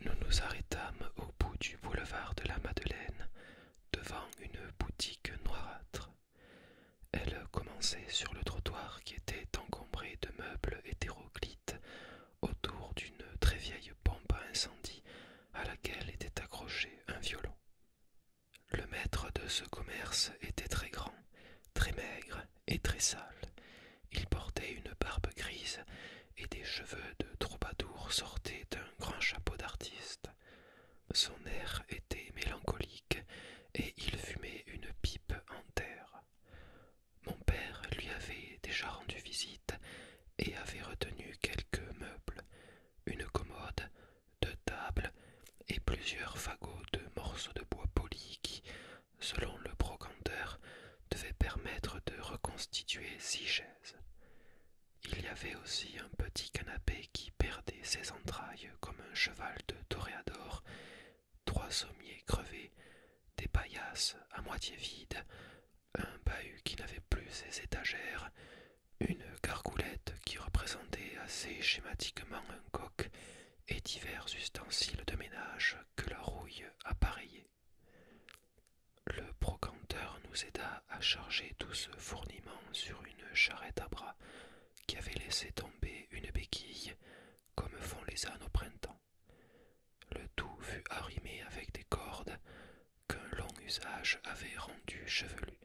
Nous nous arrêtâmes au bout du boulevard de la Madeleine, devant une boutique noirâtre. Elle commençait sur le trottoir qui était encombré de meubles hétéroclites autour d'une très vieille pompe à incendie à laquelle était accroché un violon. Le maître de ce commerce était très grand, très maigre et très sale. Il portait une barbe grise et des cheveux de troubadour sortaient d'un grand chapeau d'artiste. Son air était mélancolique et il fumait une pipe en terre. Mon père lui avait déjà rendu visite et avait retenu quelques meubles, une commode, deux tables et plusieurs fagots de morceaux de bois polis qui, selon le brocanteur, devait permettre de reconstituer six chaises. Il y avait aussi un petit canapé qui perdait ses entrailles comme un cheval de toréador, trois sommiers crevés, des paillasses à moitié vides, un bahut qui n'avait plus ses étagères, une gargoulette qui représentait assez schématiquement un coq et divers ustensiles de ménage que la rouille appareillait. Le brocanteur nous aida à charger tout ce fourniment sur une charrette à bras qui avait laissé tomber une béquille, comme font les ânes au printemps. Le tout fut arrimé avec des cordes qu'un long usage avait rendues chevelues.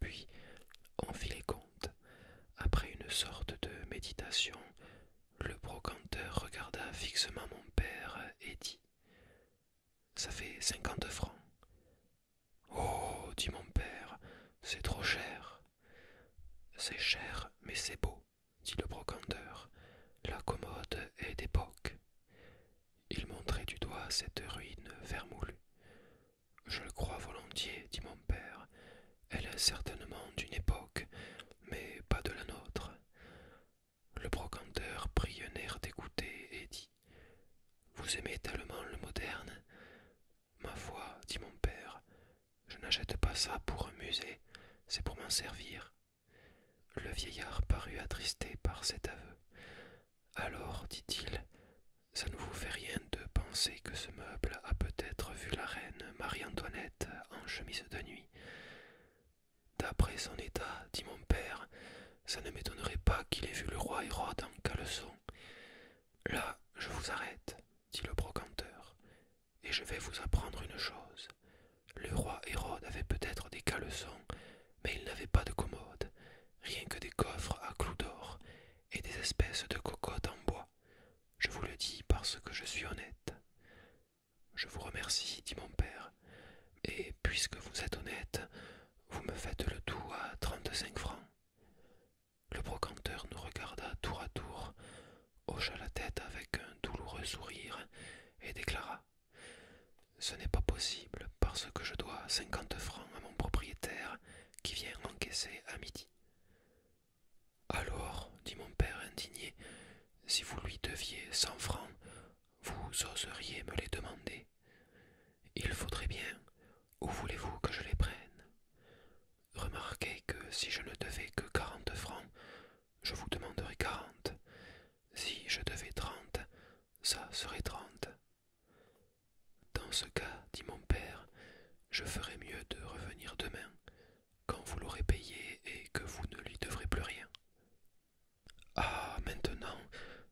Puis on fit les comptes. Après une sorte de méditation, le brocanteur regarda fixement mon père et dit Ça fait cinquante francs. Oh dit mon père, c'est trop cher. C'est cher, mais c'est beau, dit le brocanteur. La commode est d'époque. Il montrait du doigt cette ruine vermoulue. Je le crois volontiers, dit mon père. Elle est certainement d'une époque, mais pas de la nôtre. Le brocanteur prit un air dégoûté et dit Vous aimez tellement le moderne Ma foi, dit mon père, je n'achète pas ça pour un musée, c'est pour m'en servir. Le vieillard parut attristé par cet aveu. Alors, dit-il, ça ne vous fait rien de penser que ce meuble a peut-être vu la reine Marie-Antoinette en chemise de nuit. D'après son état, dit mon père, ça ne m'étonnerait pas qu'il ait vu le roi Hérode en caleçon. Là, je vous arrête, dit le brocanteur, et je vais vous apprendre une chose. Le roi Hérode avait peut-être des caleçons, mais il n'avait pas de commode, rien que des coffres à clous d'or et des espèces de cocottes en bois. Je vous le dis parce que je suis honnête. Je vous remercie, dit mon père, et puisque vous êtes honnête, vous me faites le tout à trente-cinq francs. Le brocanteur nous regarda tour à tour, hocha la tête avec un douloureux sourire, et déclara. Ce n'est pas possible parce que je dois cinquante francs à mon propriétaire qui vient encaisser à midi. Alors, dit mon père indigné, si vous lui deviez cent francs, vous oseriez me les demander. Il faudrait bien. Où voulez-vous que je les prenne Remarquez que si je ne devais que quarante francs, je vous demanderais quarante. Si je devais trente, ça serait trente. Dans ce cas, dit mon père, je ferais mieux de revenir demain, quand vous l'aurez payé et que vous ne lui devrez plus rien. Ah. Maintenant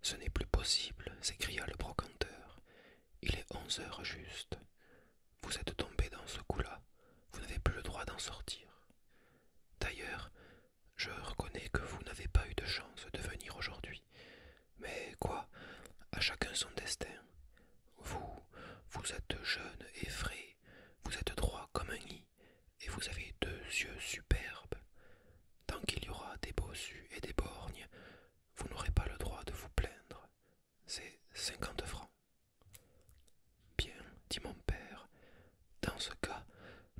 ce n'est plus possible, s'écria le brocanteur. Il est onze heures juste. Vous êtes tombé dans ce coup là, vous n'avez plus le droit d'en sortir. D'ailleurs, je reconnais que vous n'avez pas eu de chance de venir aujourd'hui. Mais quoi? À chacun son destin. Vous, vous êtes jeune et frais, vous êtes droit comme un et vous avez deux yeux superbes. Tant qu'il y aura des bossus et des borgnes, vous n'aurez pas le droit de vous plaindre. C'est cinquante francs. Bien, dit mon père, dans ce cas,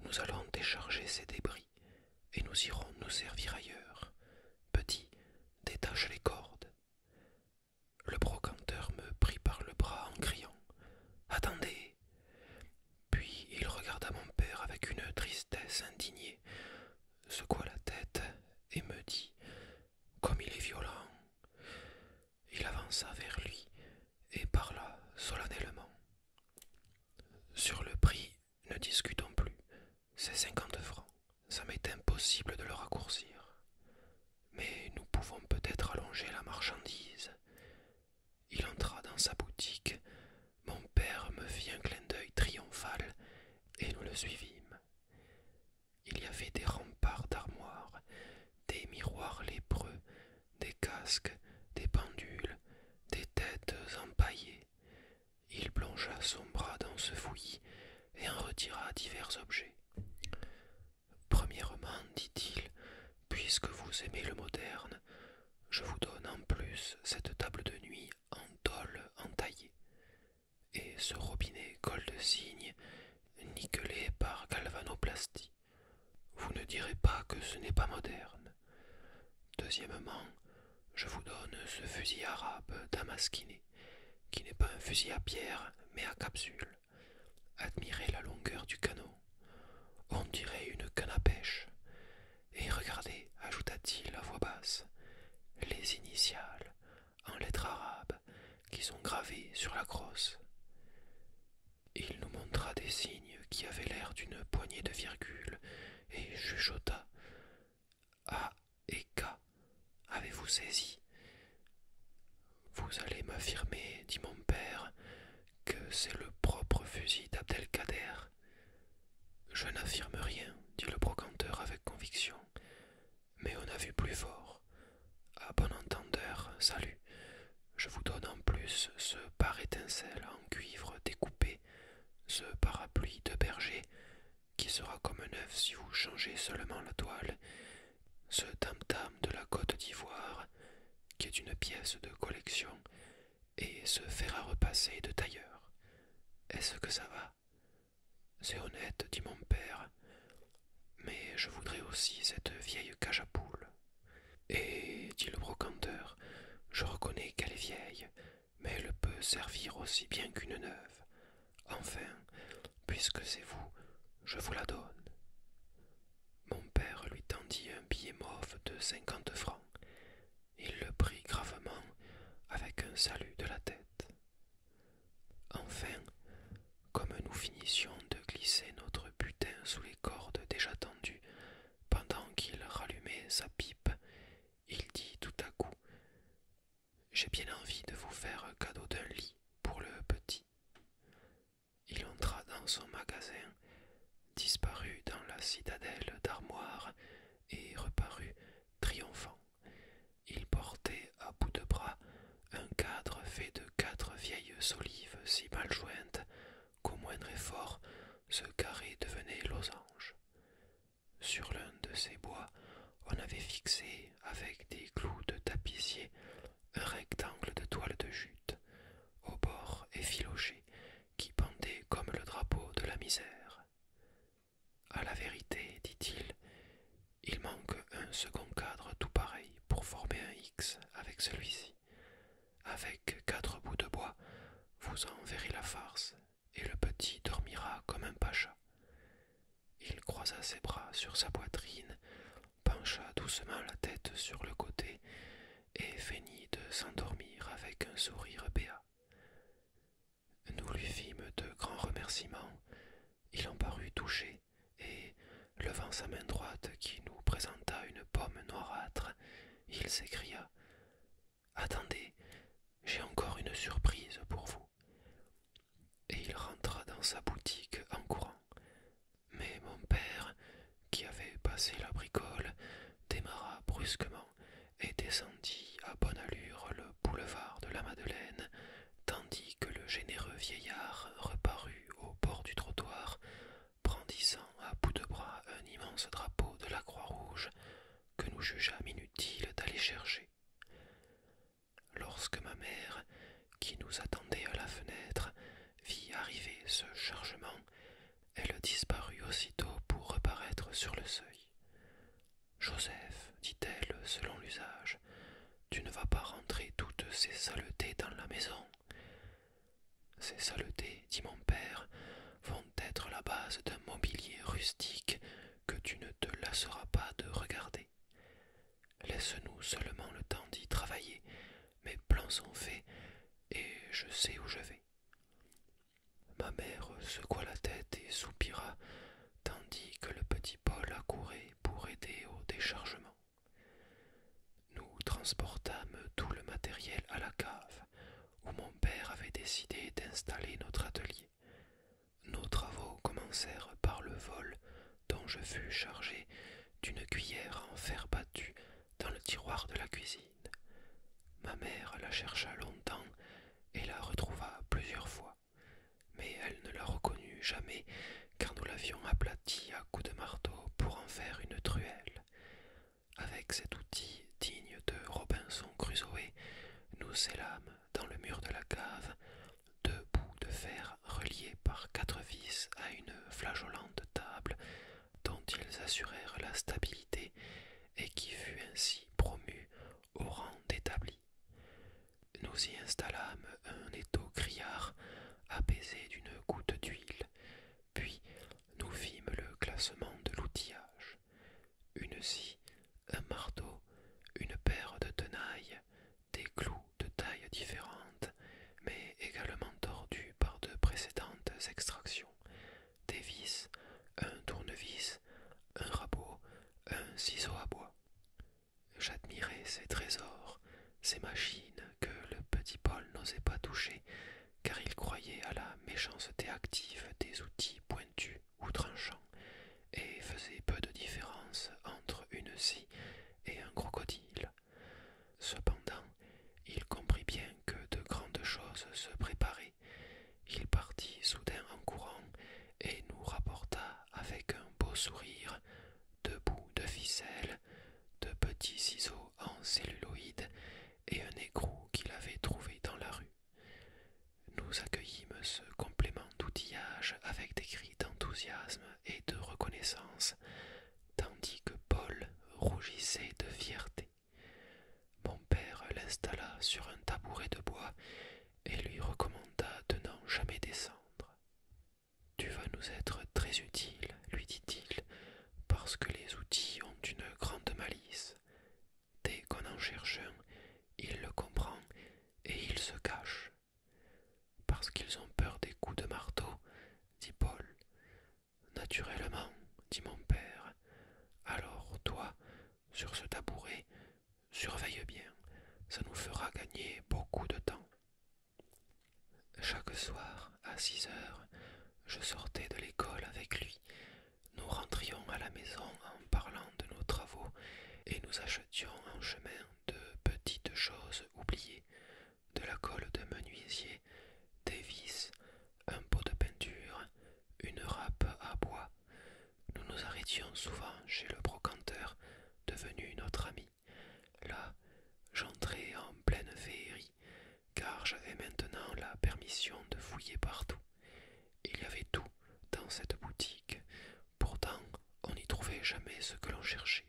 nous allons décharger ces débris et nous irons nous servir ailleurs. Petit, détache les cordes. Le brocanteur me prit par le bras en criant Attendez, puis il regarda mon père avec une tristesse indignée, secoua la tête et me dit Comme il est violent. Il avança vers lui et parla solennellement. Sur le prix, ne discutons plus. C'est cinquante francs. Ça m'est impossible de le raccourcir. Mais nous pouvons peut-être allonger la marchandise. Il entra dans sa boutique. Mon père me fit un clin d'œil triomphal et nous le suivîmes. Il y avait des remparts d'armoires, des miroirs lépreux, des casques, des pendules, des têtes empaillées. Il plongea son bras dans ce fouillis et en retira divers objets. Premièrement, dit-il, puisque vous aimez le moderne, je vous donne en plus cette table de nuit en tôle entaillée, et ce robinet col de cygne nickelé par galvanoplastie. Vous ne direz pas que ce n'est pas moderne. Deuxièmement, je vous donne ce fusil arabe damasquiné, qui n'est pas un fusil à pierre, mais à capsule admirez la longueur du canot. On dirait une canne à pêche. Et regardez, ajouta-t-il à voix basse, les initiales en lettres arabes qui sont gravées sur la crosse. Il nous montra des signes qui avaient l'air d'une poignée de virgules et chuchota A ah, et K. Avez-vous saisi vous allez m'affirmer, dit mon père, que c'est le propre fusil d'Abdelkader. Je n'affirme rien, dit le brocanteur avec conviction, mais on a vu plus fort. À bon entendeur, salut. Je vous donne en plus ce par étincelle en cuivre découpé, ce parapluie de berger, qui sera comme un œuf si vous changez seulement la toile, ce tam-tam de la côte d'ivoire, qui est une pièce de collection, et se fera repasser de tailleur. Est-ce que ça va C'est honnête, dit mon père, mais je voudrais aussi cette vieille cage à poules. Et, dit le brocanteur, je reconnais qu'elle est vieille, mais elle peut servir aussi bien qu'une neuve. Enfin, puisque c'est vous, je vous la donne. Mon père lui tendit un billet mauve de cinquante francs. Il le prit gravement avec un salut de la tête. Enfin, comme nous finissions de glisser notre butin sous les cordes déjà tendues, pendant qu'il rallumait sa pipe, il dit tout à coup J'ai bien envie de vous faire cadeau d'un lit pour le petit. Il entra dans son magasin, disparut dans la citadelle d'Armoire et reparut triomphant. Il portait à bout de bras un cadre fait de quatre vieilles olives si mal jointes qu'au moindre effort ce carré devenait losange. Sur l'un de ces bois, on avait fixé avec des clous de tapissier un rectangle de toile de jute, au bord effiloché, qui pendait comme le drapeau de la misère. À la vérité, dit-il, il manque un second cadre tout pareil pour former un X avec celui-ci. Avec quatre bouts de bois, vous en verrez la farce, et le petit dormira comme un pacha. Il croisa ses bras sur sa poitrine pencha doucement la tête sur le côté et feignit de s'endormir avec un sourire béat. Nous lui fîmes de grands remerciements, il en parut touché, et, levant sa main droite qui nous présenta une pomme noirâtre, il s'écria. Attendez, j'ai encore une surprise pour vous. Et il rentra dans sa boutique en courant. Mais mon père, qui avait passé la bricole, démarra brusquement et descendit à bonne allure le boulevard de la Madeleine, tandis que le généreux vieillard reparut au bord du trottoir, brandissant à bout de bras un immense drapeau de la Croix-Rouge que nous jugeâmes inutile d'aller chercher. Lorsque ma mère, qui nous attendait à la fenêtre, vit arriver ce chargement, elle disparut aussitôt pour reparaître sur le seuil. Joseph, dit-elle selon l'usage, tu ne vas pas rentrer toutes ces saletés dans la maison. Ces saletés, dit mon père, vont être la base d'un mobilier rustique que tu ne te lasseras pas de regarder. Laisse-nous seulement le temps d'y travailler, mes plans sont faits et je sais où je vais. Ma mère secoua la tête et soupira, tandis que le petit Paul accourait pour aider au déchargement. Nous transportâmes tout le matériel à la cave, où mon père avait décidé d'installer notre atelier. Nos travaux commencèrent par le vol, dont je fus chargé d'une cuillère en fer battu dans le tiroir de la cuisine. Ma mère la chercha longtemps et la retrouva plusieurs fois, mais elle ne la reconnut jamais car nous l'avions aplatie à coups de marteau pour en faire une truelle. Avec cet outil digne de Robinson Crusoe, nous scellâmes dans le mur de la cave deux bouts de fer reliés par quatre vis à une flageolante table dont ils assurèrent la stabilité et qui fut ainsi promu au rang d'établi. Nous y installâmes un étau criard apaisé d'une goutte d'huile, puis nous fîmes le classement de l'outillage. Une scie, un marteau, une paire de tenailles, des clous de tailles différentes mais également tordu par de précédentes extractions, des vis, un tournevis, un rabot, un ciseau à bois. J'admirais ces trésors, ces machines que le petit Paul n'osait pas toucher, car il croyait à la méchanceté active des outils pointus ou tranchants, et faisait peu de différence entre une scie et un crocodile. Cependant, il comprit bien que de grandes choses se préparaient. Il partit soudain en courant et nous rapporta avec un beau sourire deux bouts de ficelle, de petits ciseaux en celluloïde et un écrou qu'il avait trouvé dans la rue. Nous accueillîmes ce complément d'outillage avec des cris d'enthousiasme et de reconnaissance, tandis que Paul rougissait de fierté. Mon père l'installa sur un tabouret de bois et lui recommanda de n'en jamais descendre. Tu vas nous être très utile, lui dit-il, parce que les outils ont une grande malice. Dès qu'on en cherche un, il le comprend et il se cache. Parce qu'ils ont peur des coups de marteau, dit Paul. Naturellement, dit mon père. Alors toi, sur ce tabouret, surveille bien, ça nous fera gagner beaucoup de temps. Chaque soir, à six heures, je sortais de l'école avec lui. Nous rentrions à la maison en parlant de nos travaux et nous achetions en chemin de petites choses oubliées de la colle de menuisier, des vis, un pot de peinture, une râpe à bois. Nous nous arrêtions souvent chez le brocanteur, devenu notre ami. Là, j'entrais en pleine féerie, car j'avais maintenant la permission de fouiller partout. Il y avait tout dans cette boutique. Pourtant, on n'y trouvait jamais ce que l'on cherchait.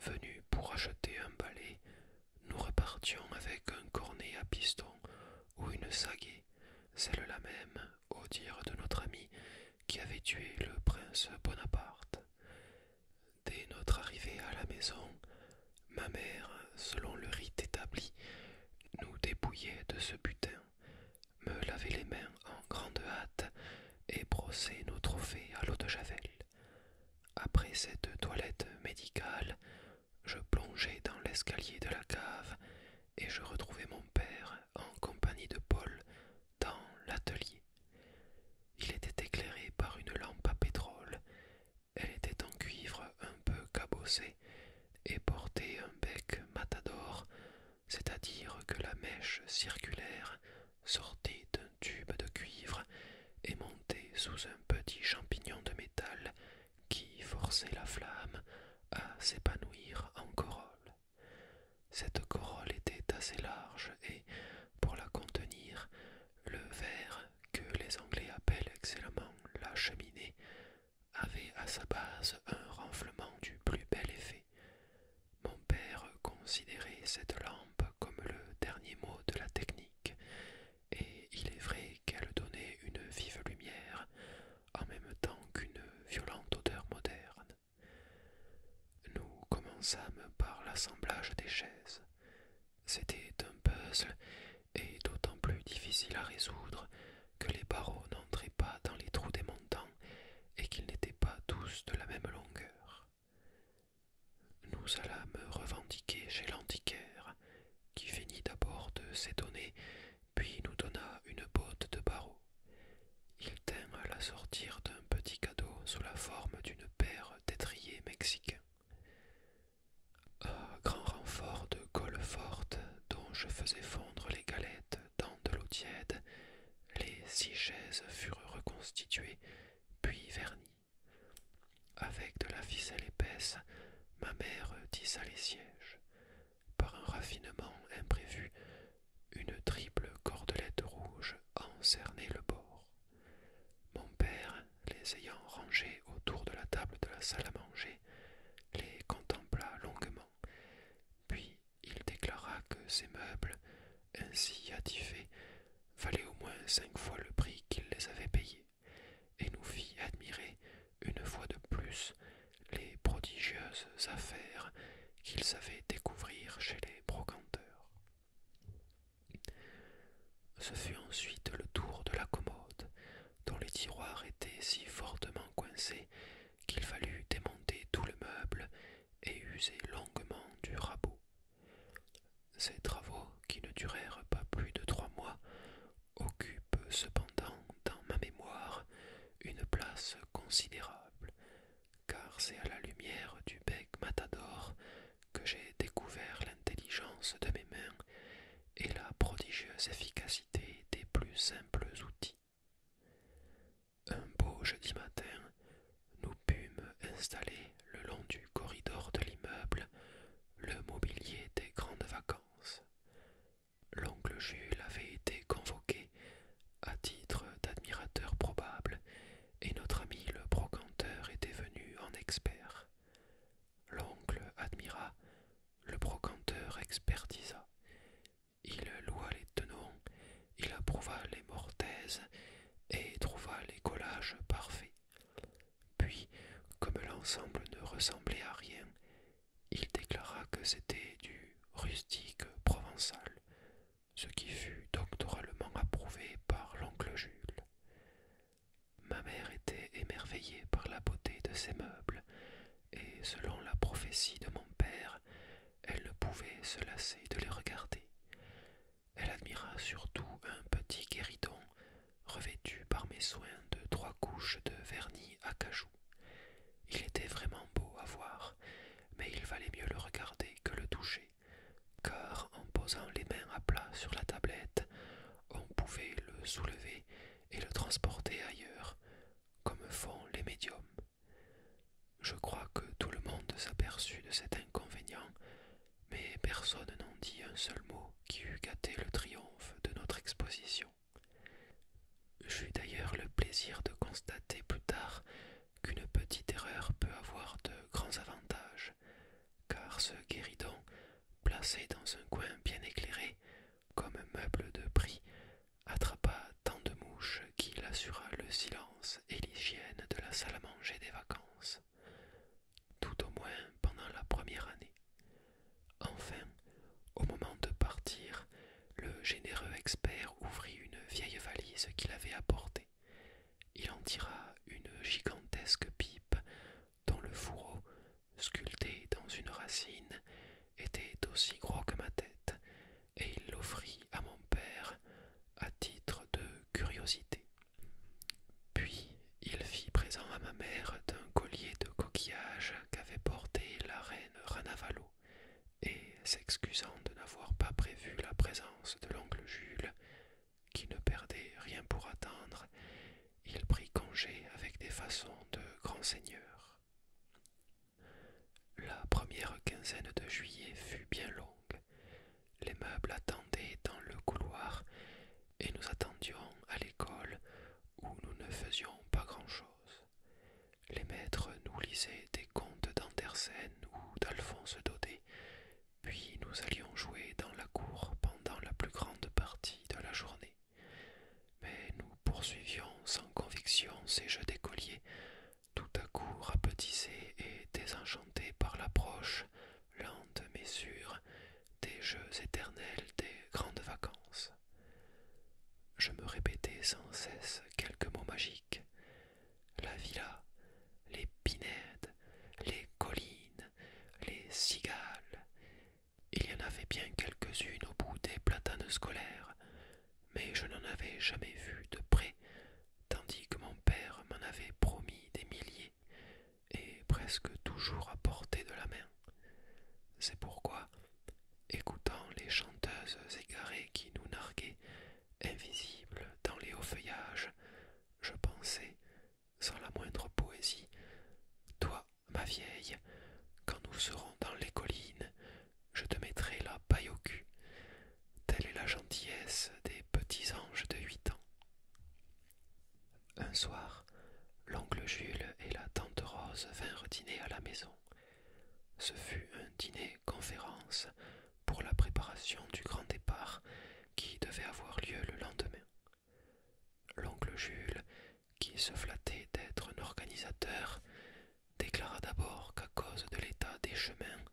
Venus pour acheter un balai, nous repartions avec un cornet à piston ou une saguée, celle-là même, au dire de notre ami, qui avait tué le prince Bonaparte. Dès notre arrivée à la maison, ma mère, selon le rite établi, nous dépouillait de ce butin, me lavait les mains en grande hâte et brossait nos trophées à l'eau de Javel. Après cette toilette médicale, je plongeai dans l'escalier de la cave et je retrouvai mon père en compagnie de Paul dans l'atelier. Il était éclairé par une lampe à pétrole. Elle était en cuivre un peu cabossée et portait un bec matador, c'est-à-dire que la mèche circulaire sortait de tube de cuivre et monté sous un petit champignon de métal qui forçait la flamme à s'épanouir en corolle. Cette corolle était assez large et, pour la contenir, le verre que les Anglais appellent excellemment la cheminée avait à sa base un renflement du plus bel effet. Mon père considérait cette lampe comme le dernier mot de la technique, et il est vrai qu'elle donnait une vive lumière, en même temps qu'une violente odeur moderne. Nous commençâmes par l'assemblage des chaises. C'était un puzzle, et d'autant plus difficile à résoudre que les barreaux n'entraient pas dans les trous des montants et qu'ils n'étaient pas tous de la même longueur nous allâmes revendiquer chez l'antiquaire, qui finit d'abord de s'étonner, puis nous donna une botte de barreaux. Il tint à la sortir d'un petit cadeau sous la forme d'une paire d'étriers mexicains. grand renfort de colle forte dont je faisais fondre les galettes dans de l'eau tiède, les six chaises furent reconstituées, puis vernies. Avec de la ficelle épaisse, ma mère tissa les sièges. Par un raffinement imprévu, une triple cordelette rouge encernait le bord. Mon père, les ayant rangés autour de la table de la salle à manger, les contempla longuement, puis il déclara que ces meubles, ainsi attifés, valait au moins cinq fois le prix qu'il les avait payés, et nous fit admirer une fois de plus les prodigieuses affaires qu'ils savait découvrir chez les brocanteurs. Ce fut ensuite le tour de la commode, dont les tiroirs étaient si fortement coincés qu'il fallut démonter tout le meuble et user longuement du rabot. Ces travaux, qui ne durèrent pas plus de trois mois, occupent cependant dans ma mémoire une place considérable, car c'est à la lumière du bec matador que j'ai découvert l'intelligence de mes mains et la prodigieuse efficacité des plus simples outils. Un beau jeudi matin, pu me installer le long du corridor de l'immeuble le mobilier des grandes vacances. L'oncle Jules avait été convoqué à titre d'admirateur probable et notre ami le brocanteur était venu en expert. L'oncle admira, le brocanteur expertisa. Il loua les tenons, il approuva les mortaises et trouva les collages parfaits. Puis, comme l'ensemble ne ressemblait à rien, il déclara que c'était du rustique provençal, ce qui fut doctoralement approuvé par l'oncle Jules. Ma mère était émerveillée par la beauté de ces meubles, et selon la prophétie de mon père, elle ne pouvait se lasser de les regarder. Elle admira surtout un petit guéridon revêtu par mes soins de trois couches de vernis à cajou. Il était vraiment beau à voir, mais il valait mieux le regarder que le toucher, car en posant les mains à plat sur la tablette, on pouvait le soulever et le transporter ailleurs, comme font les médiums. Je crois que tout le monde s'aperçut de cet inconvénient mais personne n'en dit un seul mot qui eût gâté le triomphe de notre exposition. J'eus d'ailleurs le plaisir de constater plus tard qu'une petite erreur peut avoir de grands avantages, car ce guéridon, placé dans un coin bien éclairé, comme un meuble de prix, attrapa tant de mouches qu'il assura le silence et l'hygiène de la salle à manger des vacances tout au moins pendant la première année. Enfin, au moment de partir, le généreux expert ouvrit une vieille valise qu'il avait apportée. Il en tira une gigantesque pipe dont le fourreau, sculpté dans une racine, était aussi gros que ma tête, et il l'offrit à mon père à titre de curiosité. Puis il fit présent à ma mère d'un collier de coquillage qu'avait porté la reine Ranavalo, et s'excusant de n'avoir pas prévu la présence de l'oncle Jules, qui ne perdait rien pour attendre, il prit congé avec des façons de grand seigneur. La première quinzaine de juillet fut bien longue. Les meubles attendaient dans le couloir et nous attendions à l'école où nous ne faisions pas grand-chose. Les maîtres nous lisaient des contes d'Andersen ou d'Alphonse Daudet, puis nous allions jouer dans la cour pendant la plus grande partie de la journée. Mais nous poursuivions sans conviction ces jeux d'écoliers, tout à coup rapetissés et désenchantés par l'approche lente mais sûre, des jeux éternels des grandes vacances. Je me répétais sans cesse quelques mots magiques. La villa, les pinèdes, les collines, les cigales. Il y en avait bien quelques-unes au bout des platanes scolaires, mais je n'en avais jamais vu de près, tandis que mon père m'en avait promis des milliers et presque toujours à portée de la main. C'est pourquoi, écoutant les chanteuses égarées qui nous narguaient, invisibles dans les hauts feuillages, je pensais, sans la moindre poésie, toi, ma vieille, quand nous serons dans les collines, je te mettrai la paille au cul. Telle est la gentillesse des petits anges de huit ans. Un soir, l'oncle Jules et la tante Rose vinrent dîner à la maison. Ce fut un dîner conférence pour la préparation du grand départ qui devait avoir lieu le lendemain. L'oncle Jules, qui se flattait d'être un organisateur, déclara d'abord qu'à cause de l'état des chemins,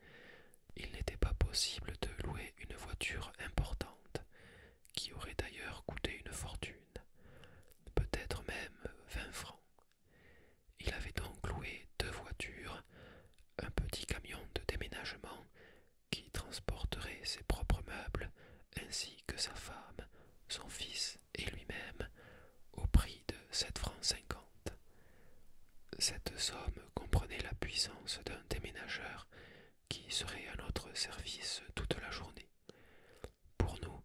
il n'était pas possible de louer une voiture importante, qui aurait d'ailleurs coûté une fortune, peut-être même vingt francs. Il avait donc loué deux voitures, un petit camion de déménagement qui transporterait ses propres meubles ainsi que sa femme, son fils et lui-même au prix de sept francs cinquante. Cette somme comprenait la puissance d'un déménageur qui serait à notre service toute la journée. Pour nous,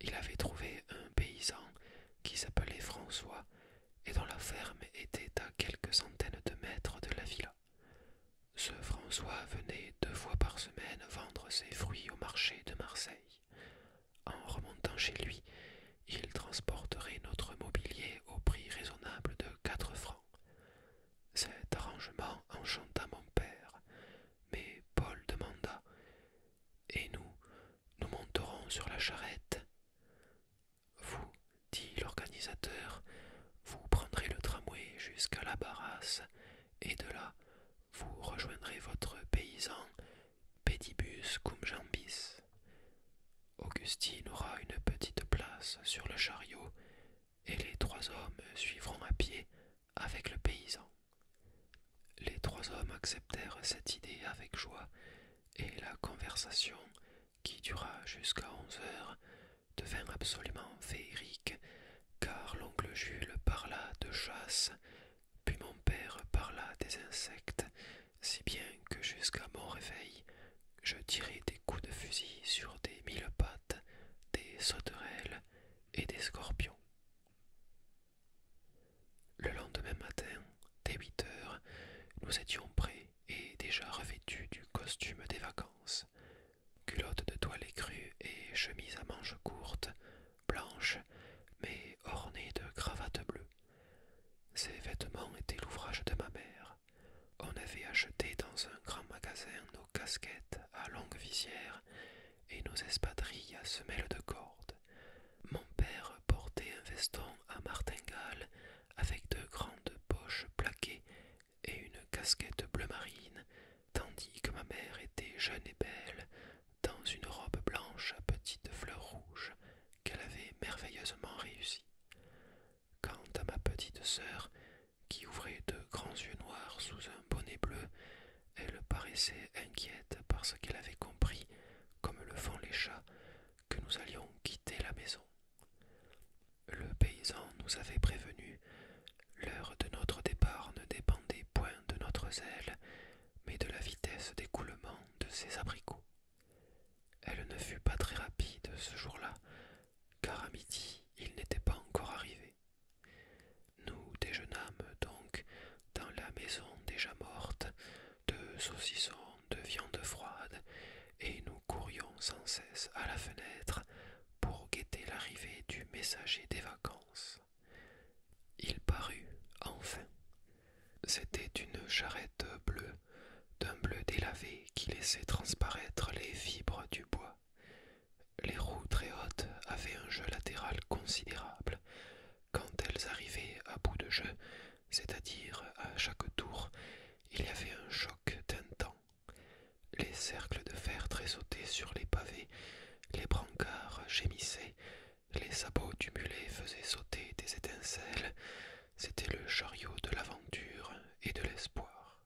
il avait trouvé un paysan qui s'appelait François et dont la ferme était à quelques centaines de mètres de la villa. Ce François venait deux fois par semaine vendre ses fruits au marché de Marseille. En remontant chez lui, il transporterait notre mobilier au prix raisonnable de quatre francs. Cet arrangement enchanta mon père, mais Paul demanda Et nous, nous monterons sur la charrette. Vous, dit l'organisateur, vous prendrez le tramway jusqu'à la Barrasse, et de là, vous rejoindrez votre paysan, pedibus cum jambis. Augustine aura une petite place sur le chariot, et les trois hommes suivront à pied avec le paysan. Les trois hommes acceptèrent cette idée avec joie, et la conversation, qui dura jusqu'à onze heures, devint absolument féerique, car l'oncle Jules parla de chasse, puis mon père parla des insectes, si bien que jusqu'à mon réveil je tirai des coups de fusil sur des mille-pattes, des sauterelles et des scorpions. Le lendemain matin, dès huit heures, nous étions prêts et déjà revêtus du costume des vacances culottes de toile écrue et chemise à manches courtes, blanches, mais ornées de cravates bleues. Ces vêtements étaient l'ouvrage de ma mère. On avait acheté dans un grand magasin nos casquettes à longue visière et nos espadrilles à semelles de corde. Mon père portait un veston à martingale avec deux grandes poches plaquées et une casquette bleu marine, tandis que ma mère était jeune et belle, dans une robe blanche à petites fleurs rouges qu'elle avait merveilleusement réussie. Quant à ma petite sœur, qui ouvrait de grands yeux noirs sous un bonnet bleu, elle paraissait inquiète parce qu'elle avait compris, comme le font les chats, que nous allions quitter la maison. Le paysan nous avait prévenu. l'heure de notre départ ne dépendait point de notre zèle, mais de la vitesse d'écoulement de ses abricots. Elle ne fut pas très rapide ce jour-là, car à midi il n'était pas encore arrivé. Nous déjeunâmes donc dans la maison déjà morte de saucissons, de viande froide, et nous courions sans cesse à la fenêtre pour guetter l'arrivée du messager des vacances. Il parut enfin. C'était une charrette bleue, d'un bleu délavé qui laissait transparaître les fibres du bois. Les roues très hautes avaient un jeu latéral considérable. Quand elles arrivaient à bout de jeu, c'est-à-dire à chaque tour, il y avait un choc temps. Les cercles de fer tressautaient sur les pavés, les brancards gémissaient, les sabots du mulet faisaient sauter des étincelles. C'était le chariot de l'aventure et de l'espoir.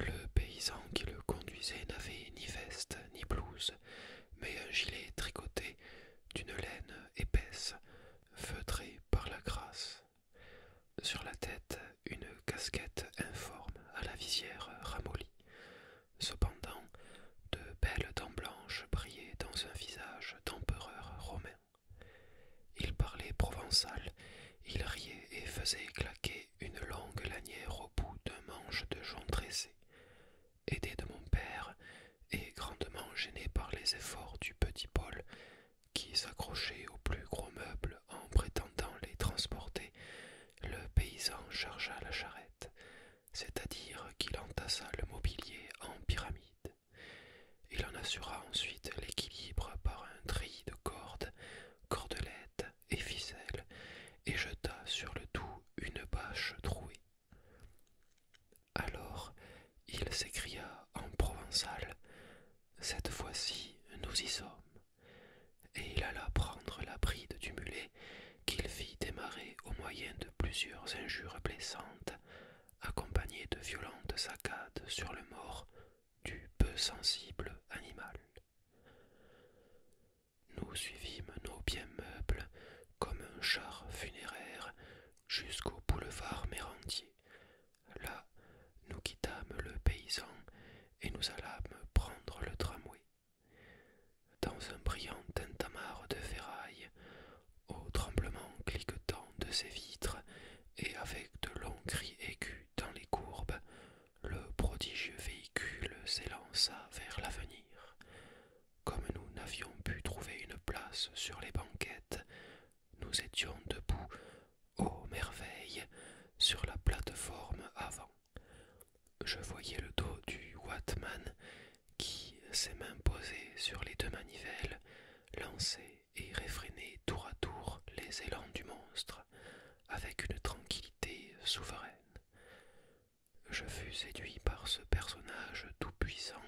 Le paysan qui le conduisait n'avait ni veste ni blouse, mais un gilet tricoté d'une laine épaisse, feutrée par la grâce. Sur la tête, une casquette informe à la visière ramollie. Cependant, de belles dents blanches brillaient dans un visage d'empereur romain. Il parlait provençal il riait et faisait claquer une longue lanière au bout d'un manche de jonc tressé. Aidé de mon père, et grandement gêné par les efforts du petit Paul, qui s'accrochait aux plus gros meubles en prétendant les transporter, le paysan chargea la charrette, c'est-à-dire qu'il entassa le mobilier en pyramide. Il en assura ensuite l'équilibre par un tri de cordes cordelettes et ficelles, et jeta sur le tout une bâche trouée. Alors il s'écria en provençal Cette fois-ci, nous y sommes. Et il alla prendre la bride du mulet qu'il fit démarrer au moyen de plusieurs injures blessantes, accompagnées de violentes saccades sur le mort du peu sensible animal. Nous suivîmes nos biens meubles comme un char funéraire jusqu'au boulevard Mérentier. Là, nous quittâmes le paysan et nous allâmes prendre le tramway. Dans un brillant tintamarre de ferraille, au tremblement cliquetant de ses vitres et avec de longs cris aigus, dans les courbes, le prodigieux véhicule s'élança vers l'avenir. Comme nous n'avions pu trouver une place sur les banquettes, nous étions debout, ô merveille, sur la plateforme avant. Je voyais le dos du Watman qui, ses mains posées sur les deux manivelles, lançait et réfréner tour à tour les élans du monstre avec une tranquillité souveraine. Je fus séduit par ce personnage tout-puissant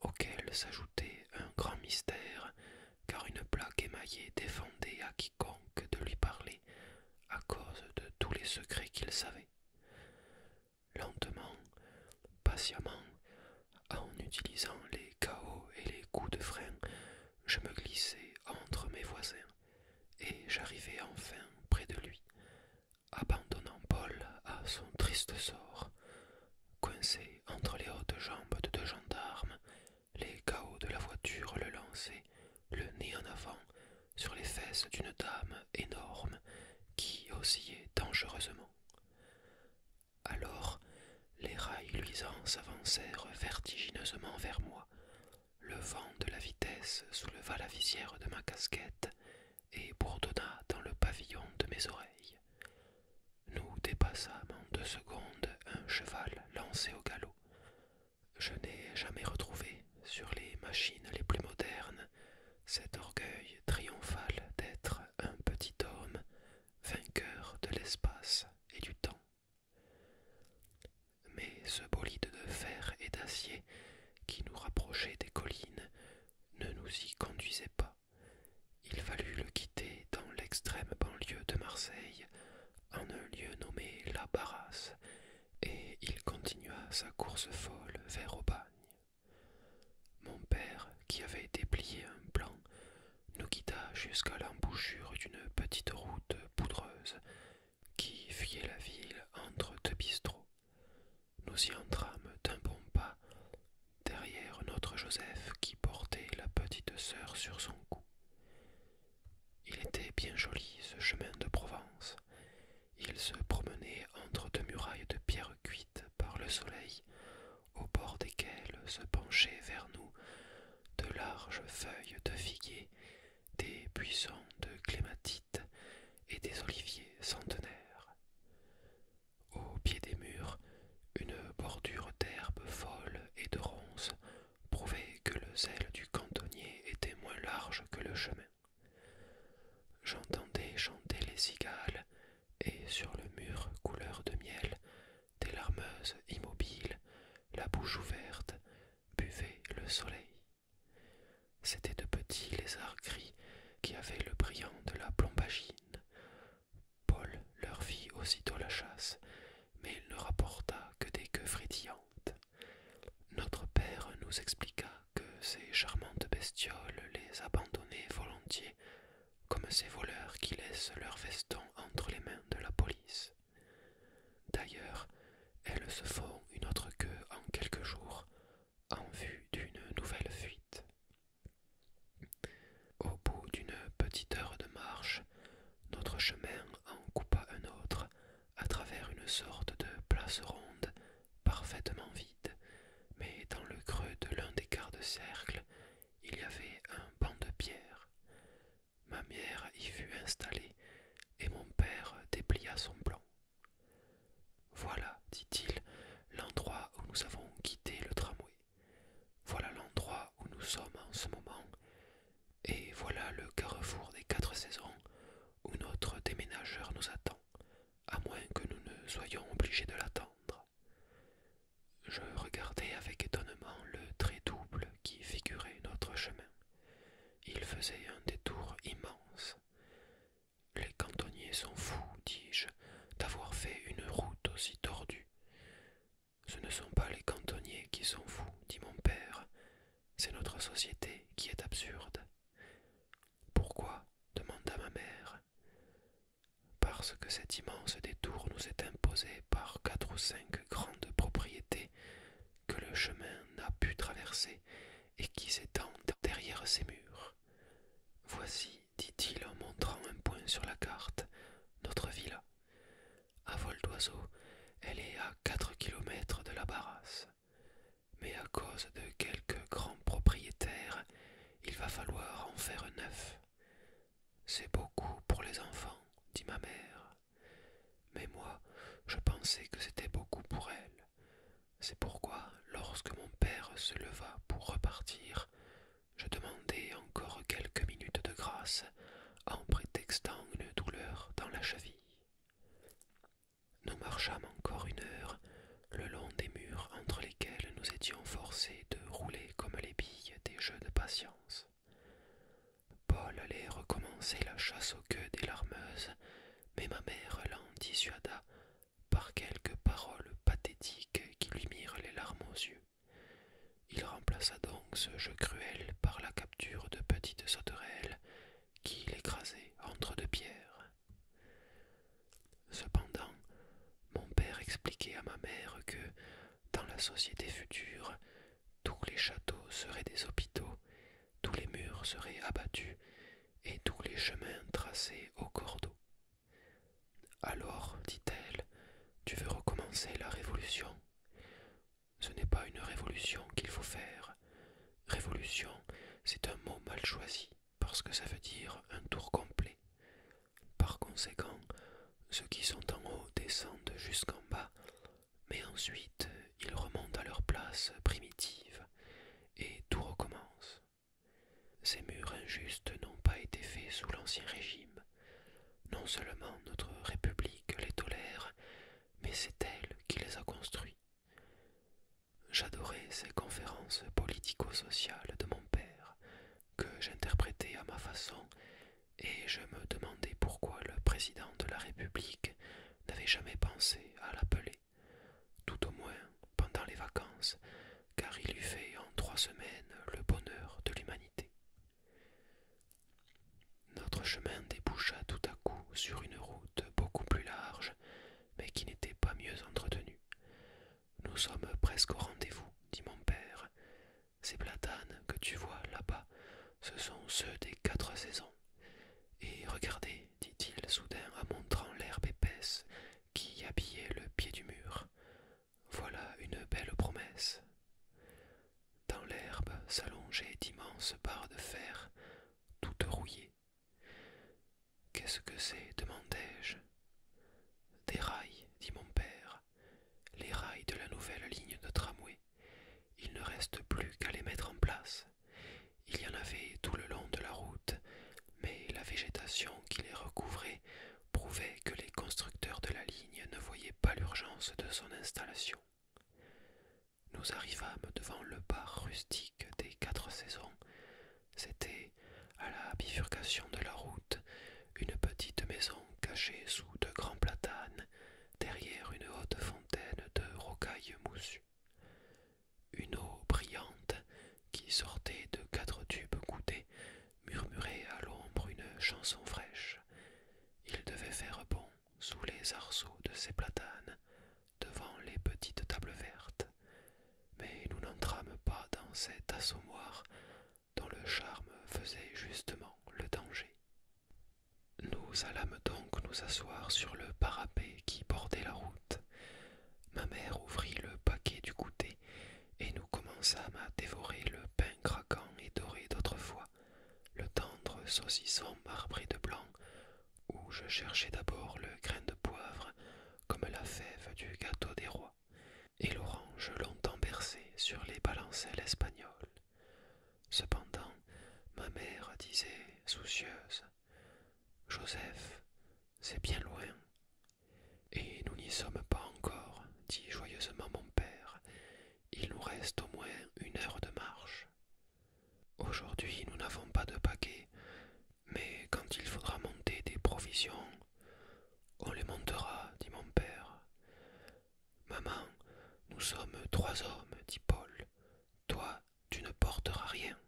auquel s'ajoutait un grand mystère, car une plaque émaillée défendait à quiconque de lui parler à cause de tous les secrets qu'il savait. Lentement, patiemment, en utilisant les chaos et les coups de frein, je me glissai entre mes voisins, et j'arrivai enfin près de lui, abandonnant Paul à son triste sort, coincé entre les hautes jambes de deux gendarmes, les chaos de la voiture le lançaient, le nez en avant, sur les fesses d'une dame énorme qui oscillait dangereusement. Alors les rails luisants s'avancèrent vertigineusement vers moi. Le vent de la vitesse souleva la visière de ma casquette et bourdonna dans le pavillon de mes oreilles. Nous dépassâmes en deux secondes un cheval lancé au galop. Je n'ai jamais retrouvé, sur les machines les plus modernes, cet orgueil triomphal d'être un petit homme, vainqueur de l'espace et du temps. Mais ce bolide de fer et d'acier qui nous rapprochait des collines ne nous y conduisait pas. Il fallut le quitter dans l'extrême banlieue de Marseille, en un lieu nommé La Barrasse, et il continua sa course folle vers Aubagne. Mon père, qui avait déplié un plan, nous quitta jusqu'à l'embouchure d'une petite route poudreuse qui fuyait la ville entre deux bistrots. Nous y entrâmes d'un bon pas, derrière notre Joseph qui portait la petite sœur sur son cou. Il était bien joli ce chemin de Provence. Il se promenait entre deux murailles de pierres cuites par le soleil, au bord desquelles se penchait vers nous de larges feuilles de figuier, des buissons de clématite et des oliviers centenaires. Au pied des murs, une bordure d'herbes folle et de ronces prouvait que le zèle du cantonnier était moins large que le chemin. J'entendais chanter les cigales, et sur le mur couleur de miel, des larmeuses immobiles la bouche ouverte, buvait le soleil. C'étaient de petits lézards gris qui avaient le brillant de la plombagine. Paul leur fit aussitôt la chasse, mais il ne rapporta que des queues frétillantes. Notre père nous expliqua que ces charmantes bestioles les abandonnaient volontiers, comme ces voleurs qui laissent leurs vestons entre les mains de la police. D'ailleurs, elles se font une autre queue en quelques jours en vue d'une nouvelle fuite. Au bout d'une petite heure de marche, notre chemin en coupa un autre à travers une sorte de place ronde parfaitement vide, mais dans le creux de l'un des quarts de cercle, il y avait un banc de pierre. Ma mère y fut installée, et mon père déplia son plan. Voilà, dit-il, l'endroit où nous avons quitté le tramway. Voilà l'endroit où nous sommes en ce moment, et voilà le carrefour des quatre saisons où notre déménageur nous attend, à moins que nous ne soyons obligés de l'attendre. Je regardais avec étonnement le trait double qui figurait notre chemin. Il faisait un détour immense. Les cantonniers sont fous, dis-je, d'avoir fait une route aussi tordue. Ce ne sont pas les cantonniers qui sont fous, dit mon père, c'est notre société qui est absurde. Pourquoi demanda ma mère. Parce que cet immense détour nous est imposé par quatre ou cinq grandes propriétés que le chemin n'a pu traverser et qui s'étend derrière ces murs. Voici, dit-il en montrant un point sur la carte, notre villa. À vol d'oiseau, elle est à quatre kilomètres de la Barrasse. Mais à cause de quelques grands propriétaires, il va falloir en faire neuf. C'est beaucoup pour les enfants, dit ma mère. Mais moi, je pensais que c'était beaucoup pour elle. C'est pourquoi, lorsque mon père se leva pour repartir, je demandai encore quelques minutes de grâce en prétextant une douleur dans la cheville. Nous marchâmes encore une heure le long des murs entre lesquels nous étions forcés de rouler comme les billes des jeux de patience. Paul allait recommencer la chasse aux queues des larmeuses, mais ma mère l'en dissuada par quelques paroles pathétiques qui lui mirent les larmes aux yeux. Il remplaça donc ce jeu cruel par la capture de petites sauterelles qu'il écrasait entre deux pierres. Cependant, mon père expliquait à ma mère que, dans la société future, tous les châteaux seraient des hôpitaux, tous les murs seraient abattus, et tous les chemins tracés au cordeau. Alors, dit-elle, tu veux recommencer la révolution Ce n'est pas une révolution qu'il faut faire. Révolution, c'est un mot mal choisi, parce que ça veut dire un tour complet. Par conséquent, ceux qui sont en haut descendent jusqu'en bas, mais ensuite ils remontent à leur place primitive et tout recommence. Ces murs injustes n'ont pas été faits sous l'Ancien Régime. Non seulement notre République les tolère, mais c'est elle qui les a construits. J'adorais ces conférences politico-sociales de mon père, que j'interprétais à ma façon et je me demandais pourquoi le président de la République n'avait jamais pensé à l'appeler, tout au moins pendant les vacances, car il eût fait en trois semaines le bonheur de l'humanité. Notre chemin déboucha tout à coup sur une route beaucoup plus large, mais qui n'était pas mieux entretenue. Nous sommes presque au rendez-vous, dit mon père, ces platanes que tu vois là-bas, ce sont ceux des quatre saisons. Et regardez, dit-il soudain en montrant l'herbe épaisse qui habillait le pied du mur. Voilà une belle promesse. Dans l'herbe s'allongeaient d'immenses barres de fer, toutes rouillées. Qu'est-ce que c'est demandai-je. Des rails, dit mon père, les rails de la nouvelle ligne de tramway. Il ne reste plus qu'à les mettre en place. Il y en avait tout le long de la route, mais la végétation qui les recouvrait prouvait que les constructeurs de la ligne ne voyaient pas l'urgence de son installation. Nous arrivâmes devant le bar rustique des quatre saisons. C'était, à la bifurcation de la route, une petite maison cachée sous de grands platanes, derrière une haute fontaine de rocailles moussues. Une eau brillante qui sortait de quatre tubes goudés, murmurait à l'ombre une chanson fraîche. Il devait faire bon sous les arceaux de ces platanes, devant les petites tables vertes. Mais nous n'entrâmes pas dans cet assommoir dont le charme faisait justement le danger. Nous allâmes donc nous asseoir sur le parapet qui bordait la route. Ma mère ouvrit le paquet du goûter, et nous commençâmes à dévorer le pain craquant et doré d'autrefois, le tendre saucisson marbré de blanc, où je cherchais d'abord le grain de poivre, comme la fève du gâteau des rois, et l'orange longtemps bercée sur les balancelles espagnoles. Cependant, ma mère disait, soucieuse, Joseph, c'est bien loin. Et nous n'y sommes pas encore, dit joyeusement mon père. Il nous reste au moins une heure de marche. Aujourd'hui, nous n'avons pas de paquet, mais quand il faudra monter des provisions, on les montera, dit mon père. Maman, nous sommes trois hommes, dit Paul. Toi, tu ne porteras rien.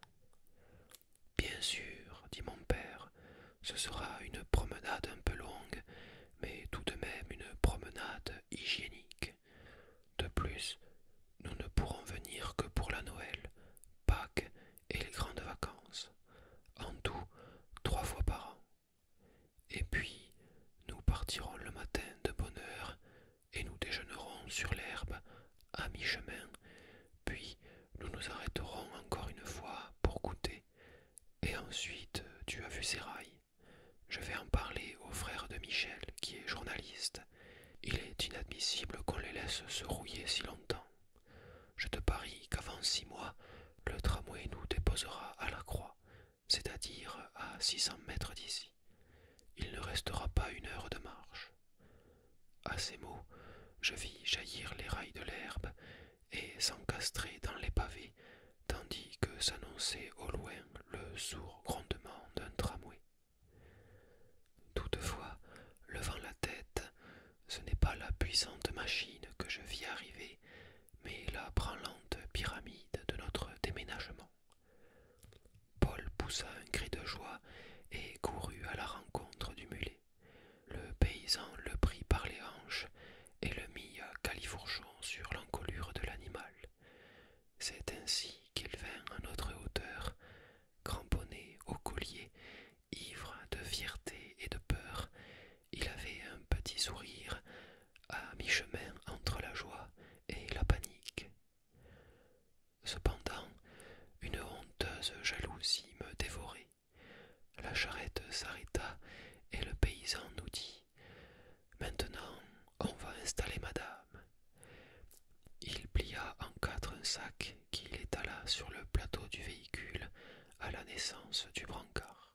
Bien sûr, dit mon père, ce sera une promenade un peu longue, mais tout de même une promenade hygiénique. De plus, nous ne pourrons venir que pour la Noël, Pâques et les grandes vacances. En tout, trois fois par an. Et puis nous partirons le matin de bonne heure et nous déjeunerons sur l'herbe à mi-chemin, puis nous nous arrêterons encore une fois pour goûter. Et ensuite, tu as vu ces rails. Je vais en parler au frère de Michel, qui est journaliste. Il est inadmissible qu'on les laisse se rouiller si longtemps. Je te parie qu'avant six mois, le tramway nous déposera à la croix, c'est-à-dire à six cents mètres d'ici. Il ne restera pas une heure de marche. À ces mots, je vis jaillir les rails de l'herbe et s'encastrer dans les pavés, tandis que s'annonçait au loin le sourd grondement d'un tramway. Toutefois, levant la tête, ce n'est pas la puissante machine que je vis arriver, mais la branlante pyramide de notre déménagement. Paul poussa un cri de joie et courut à la rencontre du mulet. Le paysan le prit par les hanches et le mit à califourchon sur l'encolure de l'animal. C'est ainsi qu'il vint à notre hauteur, cramponné au collier, ivre de fierté et de peur. Il avait un petit sourire, à mi-chemin entre la joie et la panique. Cependant, une honteuse jalousie me dévorait. La charrette s'arrêta et le paysan nous dit Maintenant, on va installer madame. Il plia en quatre un sac qu'il étala sur le plateau du véhicule à la naissance du brancard.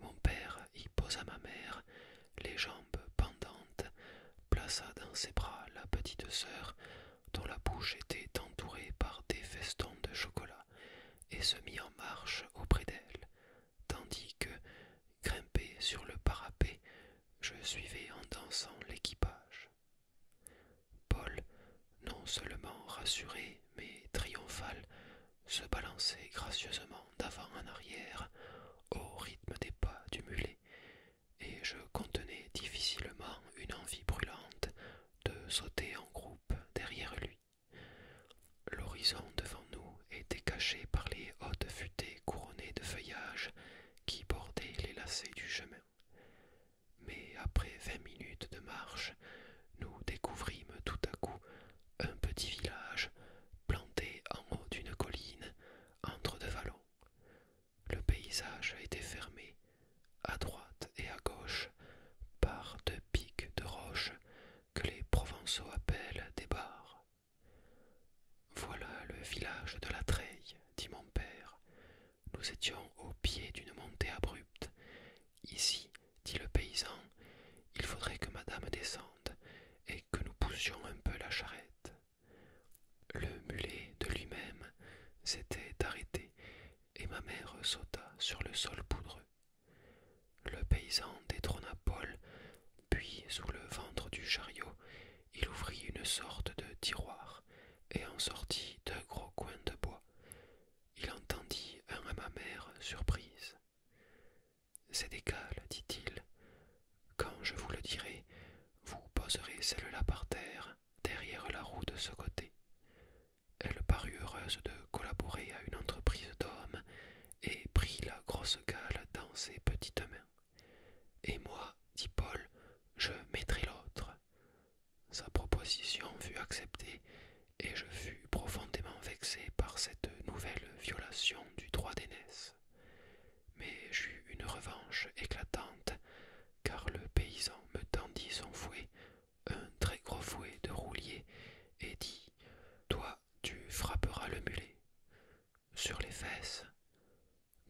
Mon père y posa ma mère, les jambes pendantes, plaça dans ses bras la petite sœur, dont la bouche était entourée par des festons de chocolat, et se mit en marche auprès d'elle, tandis que, grimpé sur le parapet, je suivais en dansant l'équipage. Paul, non seulement rassuré, mais triomphal, se balançait gracieusement d'avant en arrière au rythme des pas du mulet, et je contenais difficilement une envie brûlante de sauter en groupe derrière lui. L'horizon devant nous était caché par les hautes futées couronnées de feuillages qui bordaient les lacets du chemin. Mais après vingt minutes de marche, nous découvrîmes tout à coup un petit village planté en haut d'une colline entre deux vallons. Le paysage était fermé, à droite et à gauche, par deux pics de roche que les Provençaux appellent des barres. Voilà le village de la Treille, dit mon père. Nous étions au pied d'une montée abrupte. Ici, dit le paysan, il faudrait que madame descende, et que nous poussions un peu la charrette. Le mulet de lui-même s'était arrêté et ma mère sauta sur le sol poudreux. Le paysan détrôna Paul, puis sous le ventre du chariot, il ouvrit une sorte de tiroir et en sortit deux gros coins de bois. Il entendit un à ma mère surprise. C'est des cales, dit-il. Quand je vous le dirai, vous poserez celle-là par terre, derrière la roue de ce côté. Elle parut heureuse de collaborer à une entreprise d'hommes et prit la grosse cale dans ses petites mains. Et moi, dit Paul, je mettrai l'autre. Sa proposition fut acceptée et je fus profondément vexé par cette nouvelle violation du droit d'aînesse. Mais j'eus une revanche éclatante, car le paysan me tendit son fouet, un très gros fouet de roulier, et dit Toi, tu frapperas le mulet, sur les fesses,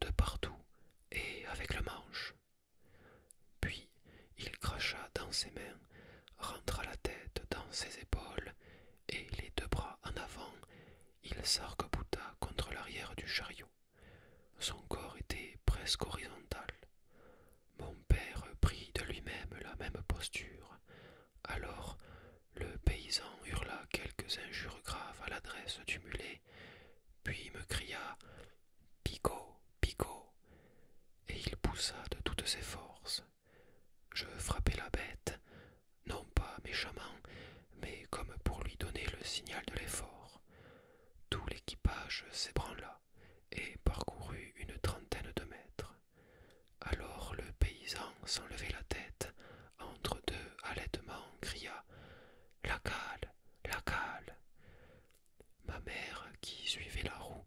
de partout et avec le manche. Puis il cracha dans ses mains, rentra la tête dans ses épaules et, les deux bras en avant, il s'arc-bouta contre l'arrière du chariot. Son corps était presque horizontal. Mon père prit de lui-même la même posture. Alors, le paysan hurla quelques injures graves à l'adresse du mulet, puis me cria Picot, Picot, et il poussa de toutes ses forces. Je frappai la bête, non pas méchamment, mais comme pour lui donner le signal de l'effort. Tout l'équipage s'ébranla et parcourut une trentaine de mètres. Alors le paysan sans lever la tête, entre deux halètements cria La cale, la cale. Ma mère, qui suivait la roue,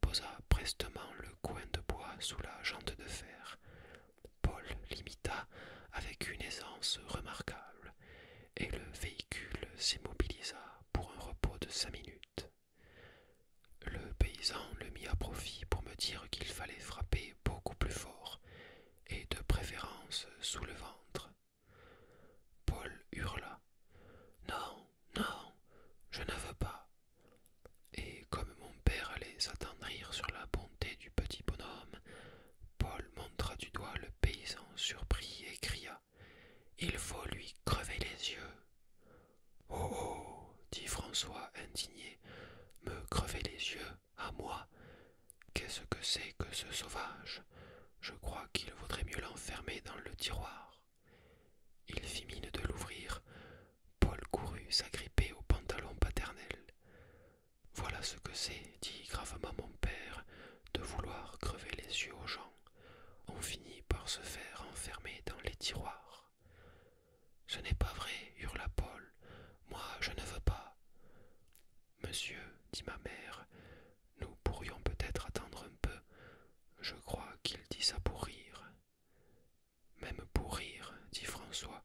posa prestement le coin de bois sous la jante de fer. Paul l'imita avec une aisance remarquable, et le véhicule s'immobilisa pour un repos de cinq minutes. Le paysan le mit à profit pour me dire qu'il fallait frapper beaucoup plus fort, et de préférence sous le ventre. Paul hurla. Non, non, je ne veux pas, et comme mon père allait s'attendrir sur la bonté du petit bonhomme, Paul montra du doigt le paysan surpris et cria Il faut lui crever les yeux. Oh, oh dit François indigné, me crever les yeux à moi Qu'est-ce que c'est que ce sauvage Je crois qu'il vaudrait mieux l'enfermer dans le tiroir. Il fit mine de l'ouvrir, Paul courut s'agripper au pantalon paternel. Voilà ce que c'est, dit gravement mon père, de vouloir crever les yeux aux gens. On finit par se faire enfermer dans les tiroirs. Ce n'est pas vrai, hurla Paul. Moi, je ne veux pas. Monsieur, dit ma mère, nous pourrions peut-être attendre un peu. Je crois qu'il dit ça pour rire. Même pour rire, dit François,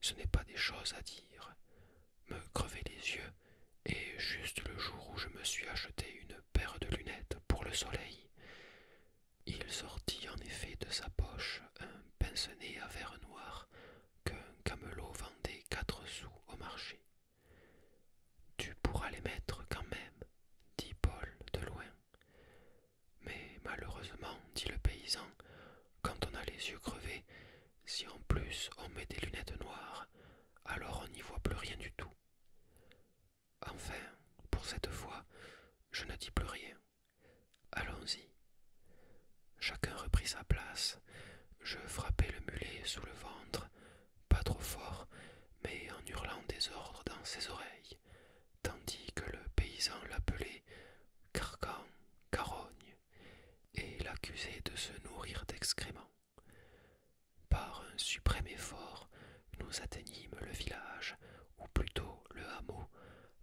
ce n'est pas des choses à dire. Me crever les yeux, et juste le jour où je me suis acheté une paire de lunettes pour le soleil. Il sortit en effet de sa poche un pince-nez à verre noir qu'un camelot vendait quatre sous au marché. Tu pourras les mettre quand même, dit Paul de loin. Mais malheureusement, dit le paysan, quand on a les yeux crevés, si en plus on met des lunettes noires, alors on n'y voit plus rien du tout. Enfin, pour cette fois, je ne dis plus rien. Allons-y. Chacun reprit sa place. Je frappai le mulet sous le ventre, pas trop fort, mais en hurlant des ordres dans ses oreilles tandis que le paysan l'appelait carcan, carogne, et l'accusait de se nourrir d'excréments. Par un suprême effort, nous atteignîmes le village, ou plutôt le hameau,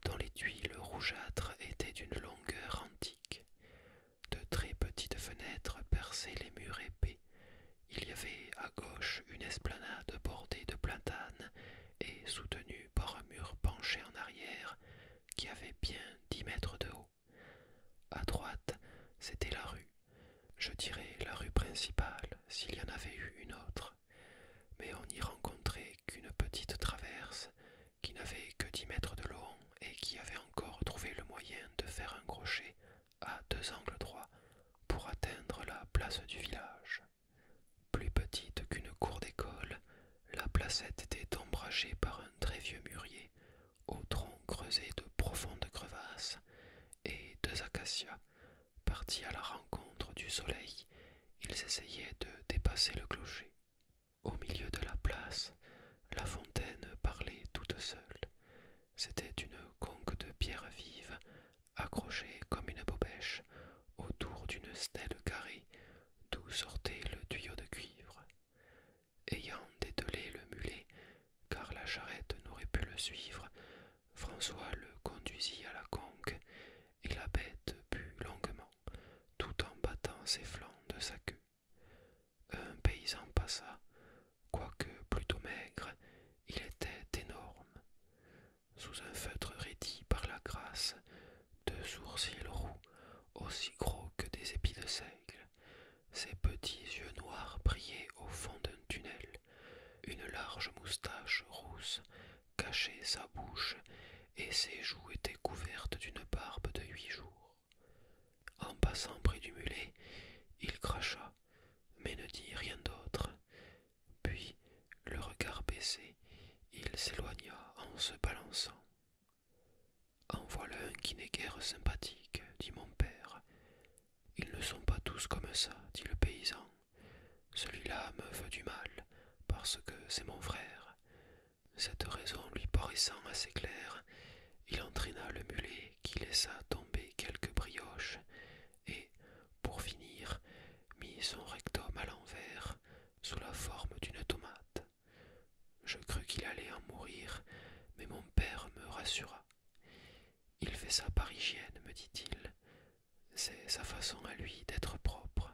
dont les tuiles rougeâtres étaient d'une longueur antique. De très petites fenêtres perçaient les murs épais. Il y avait à gauche une esplanade bordée de plantanes, et soutenu par un mur penché en arrière qui avait bien dix mètres de haut. À droite, c'était la rue. Je dirais la rue principale, s'il y en avait eu une autre, mais on n'y rencontrait qu'une petite traverse qui n'avait que dix mètres de long et qui avait encore trouvé le moyen de faire un crochet à deux angles droits pour atteindre la place du village. Plus petite qu'une cour d'école, la placette était ombragée par un très vieux mûrier, au tronc creusé de profondes crevasses, et deux acacias, partis à la rencontre du soleil, ils essayaient de dépasser le clocher. Au milieu de la place, la fontaine parlait toute seule. C'était une conque de pierre vive, accrochée comme une bobèche, autour d'une stèle carrée d'où sortait le tuyau de cuivre. Ayant dételé le mulet, car la charrette n'aurait pu le suivre, François le conduisit à la conque, et la bête but longuement, tout en battant ses flancs de sa queue. Un paysan passa, quoique plutôt maigre, il était énorme sous un feutre raidi par la grâce, deux sourcils roux, aussi gros que des épis de seigle. Ses petits yeux noirs brillaient au fond d'un tunnel. Une large moustache rousse cachait sa bouche, et ses joues étaient couvertes d'une barbe de huit jours. En passant près du mulet, il cracha, mais ne dit rien d'autre. Puis le regard baissé, il s'éloigna en se balançant. En voilà un qui n'est guère sympathique, dit mon père. Ils ne sont pas tous comme ça, dit le paysan. Celui-là me veut du mal, parce que c'est mon frère. Cette raison lui paraissant assez claire, il entraîna le mulet qui laissa tomber quelques brioches, et, pour finir, mit son rectum à l'envers, sous la forme d'une tomate. Je crus qu'il allait en mourir, mais mon père me rassura. Il fait sa parisienne, me dit-il. C'est sa façon à lui d'être propre.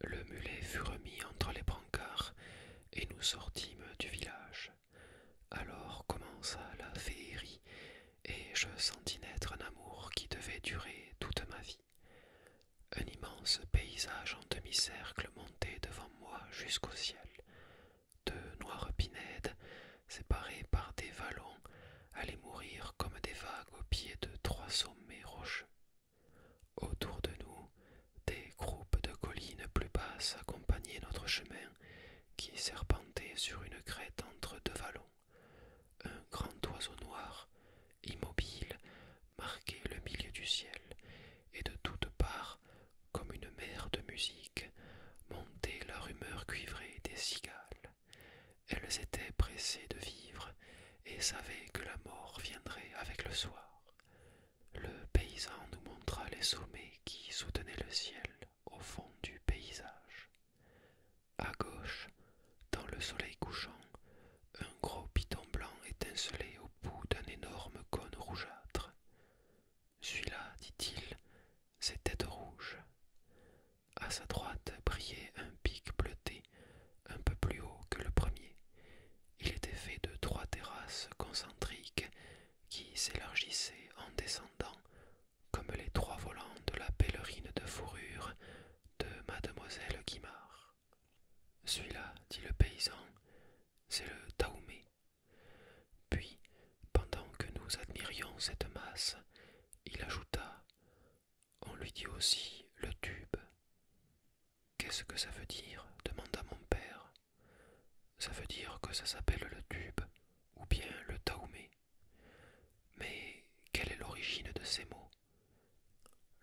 Le mulet fut remis entre les brancards et nous sortîmes du village. Alors commença la féerie et je sentis naître un amour qui devait durer toute ma vie. Un immense paysage en demi-cercle montait devant moi jusqu'au ciel, Deux noires pinèdes séparées par des vallons allaient mourir comme des vagues au pied de trois sommets rocheux. Autour de nous, des groupes de collines plus basses accompagnaient notre chemin qui serpentait sur une crête entre deux vallons. Un grand oiseau noir, immobile, marquait le milieu du ciel, et de toutes parts, comme une mer de musique, montait la rumeur cuivrée des cigales. Elles étaient pressées de vivre et savaient que la mort viendrait avec le soir. Le paysan nous montra les sommets qui soutenaient le ciel au fond du paysage. À gauche, dans le soleil couchant, un gros piton blanc étincelait au bout d'un énorme cône rougeâtre. Celui-là, dit-il, tête rouge. À sa droite brillait un pic bleuté, un peu plus haut que le premier. Il était fait de trois terrasses concentriques qui s'élargissaient en descendant, comme les trois volants de la pèlerine de fourrure de mademoiselle Guimard. Celui-là, dit le paysan, c'est le Taoumé. Puis, pendant que nous admirions cette masse, il ajouta On lui dit aussi le tube. Qu'est-ce que ça veut dire demanda mon père. Ça veut dire que ça s'appelle le tube ou bien le Taoumé. Mais quelle est l'origine de ces mots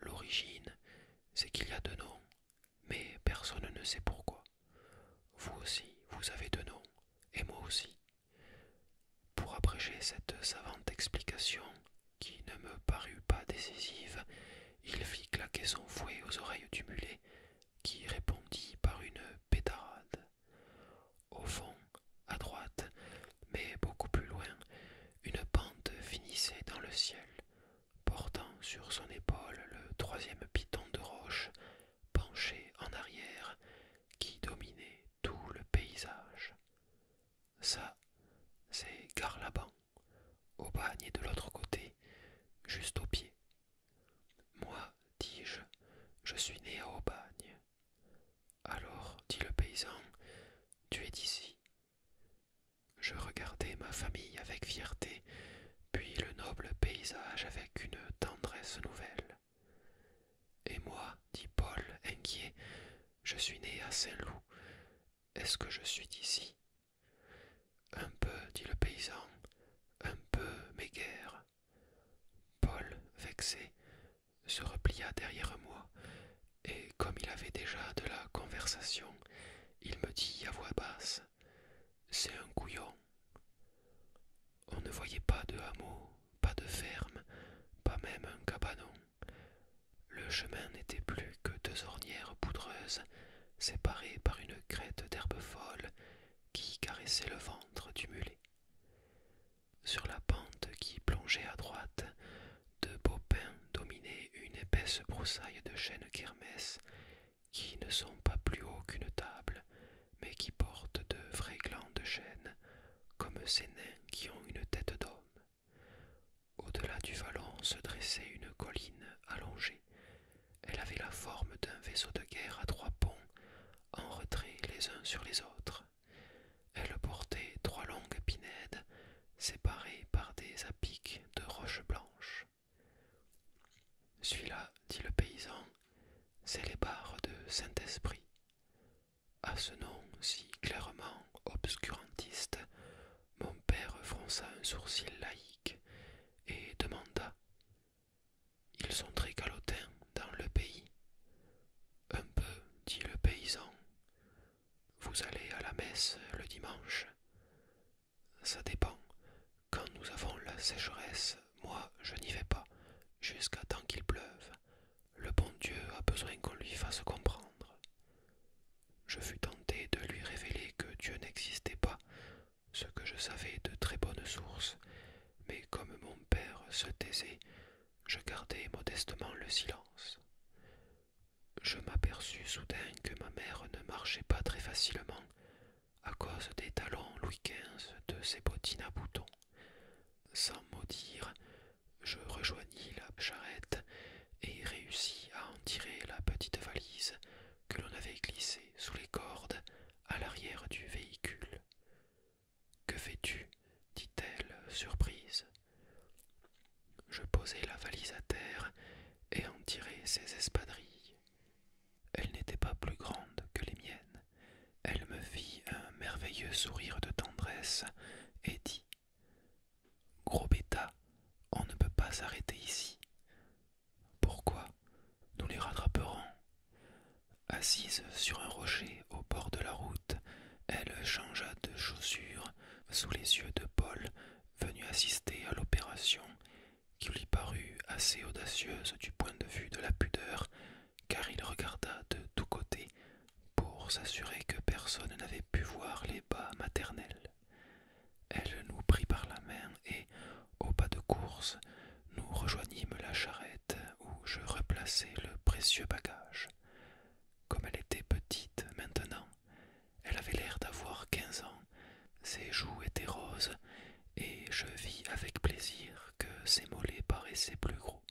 L'origine, c'est qu'il y a deux noms, mais personne ne sait pourquoi. Vous aussi, vous avez deux noms, et moi aussi. Pour abréger cette savante explication, qui ne me parut pas décisive, il fit claquer son fouet aux oreilles du mulet, qui répondit par une pétarade. Au fond, à droite, mais beaucoup plus loin, une pente finissait dans le ciel, portant sur son épaule le troisième piton de roche, penché en arrière, qui dominait tout le paysage. Ça, c'est Garlaban, au bagne de l'autre côté, juste au pied. Moi, dis-je, je suis né à bagne. »« Alors, dit le paysan, tu es d'ici, je regardai ma famille avec fierté, puis le noble paysage avec une tendresse nouvelle. Et moi, dit Paul, inquiet, je suis né à Saint-Loup. Est-ce que je suis d'ici Un peu, dit le paysan, un peu, mais guère. Paul, vexé, se replia derrière moi, et comme il avait déjà de la conversation, il me dit à voix basse C'est un couillon. On ne voyait pas de hameau, pas de ferme, pas même un cabanon. Le chemin n'était plus que deux ornières poudreuses, séparées par une crête d'herbe folle qui caressait le ventre du mulet. Sur la pente qui plongeait à droite, de beaux pins dominaient une épaisse broussaille de chênes kermesses qui ne sont pas plus hauts qu'une table, mais qui portent de vrais glands de chêne, comme ces nains qui ont une tête d'homme. Au-delà du vallon se dressait une colline allongée. Elle avait la forme d'un vaisseau de guerre à trois ponts, en retrait les uns sur les autres. Elle portait trois longues pinèdes séparées par des apics de roche blanche Celui-là, dit le paysan, c'est les barres de Saint-Esprit. À ce nom si clairement obscurantiste, mon père fronça un sourcil laïque et demanda Ils sont très calotins dans le pays. Un peu, dit le paysan. Vous allez à la messe le dimanche Ça dépend. Quand nous avons la sécheresse, moi je n'y vais pas, jusqu'à temps qu'il pleuve. Le bon Dieu a besoin qu'on lui fasse comprendre. Je fus tenté de lui révéler que Dieu n'existait pas, ce que je savais de très bonnes sources, mais comme mon père se taisait, je gardai modestement le silence. Je m'aperçus soudain que ma mère ne marchait pas très facilement à cause des talons Louis XV de ses bottines à boutons. Sans mot dire, je rejoignis la charrette et réussis à en tirer la petite valise que l'on avait glissée sous les cordes à l'arrière du véhicule. Que fais-tu dit-elle, surprise. Je posai la valise à terre et en tirai ses espadrilles. Elles n'étaient pas plus grandes que les miennes. Elle me fit un merveilleux sourire de tendresse et dit Gros bêta, on ne peut pas s'arrêter ici. Pourquoi Nous les rattraperons. Assise sur un rocher au bord de la route, elle changea de chaussures sous les yeux de Paul, venu assister à l'opération, qui lui parut assez audacieuse du point de vue de la pudeur, car il regarda de tous côtés pour s'assurer que personne n'avait pu voir les bas maternels. Elle nous prit par la main et, au pas de course, nous rejoignîmes la charrette où je replaçai le précieux bagage. Comme elle était petite maintenant, elle avait l'air d'avoir quinze ans, ses joues étaient roses, et je vis avec plaisir que ses mollets paraissaient plus gros.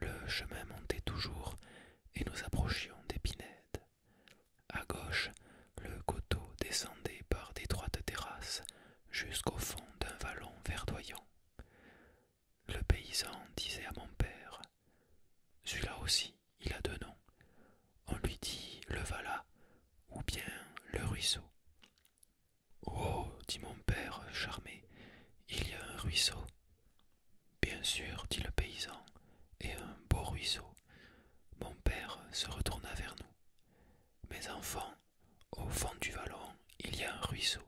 Le chemin montait toujours, et nous approchions d'Épinède. À gauche, le coteau descendait par d'étroites terrasses jusqu'au fond d'un vallon verdoyant. Le paysan disait à mon père Celui-là aussi, il a deux noms. On lui dit le valat ou bien le ruisseau. Oh, dit mon père, charmé, il y a un ruisseau. Bien sûr, dit le paysan, et un beau ruisseau. Mon père se retourna vers nous. Mes enfants, au fond du vallon, il y a un ruisseau.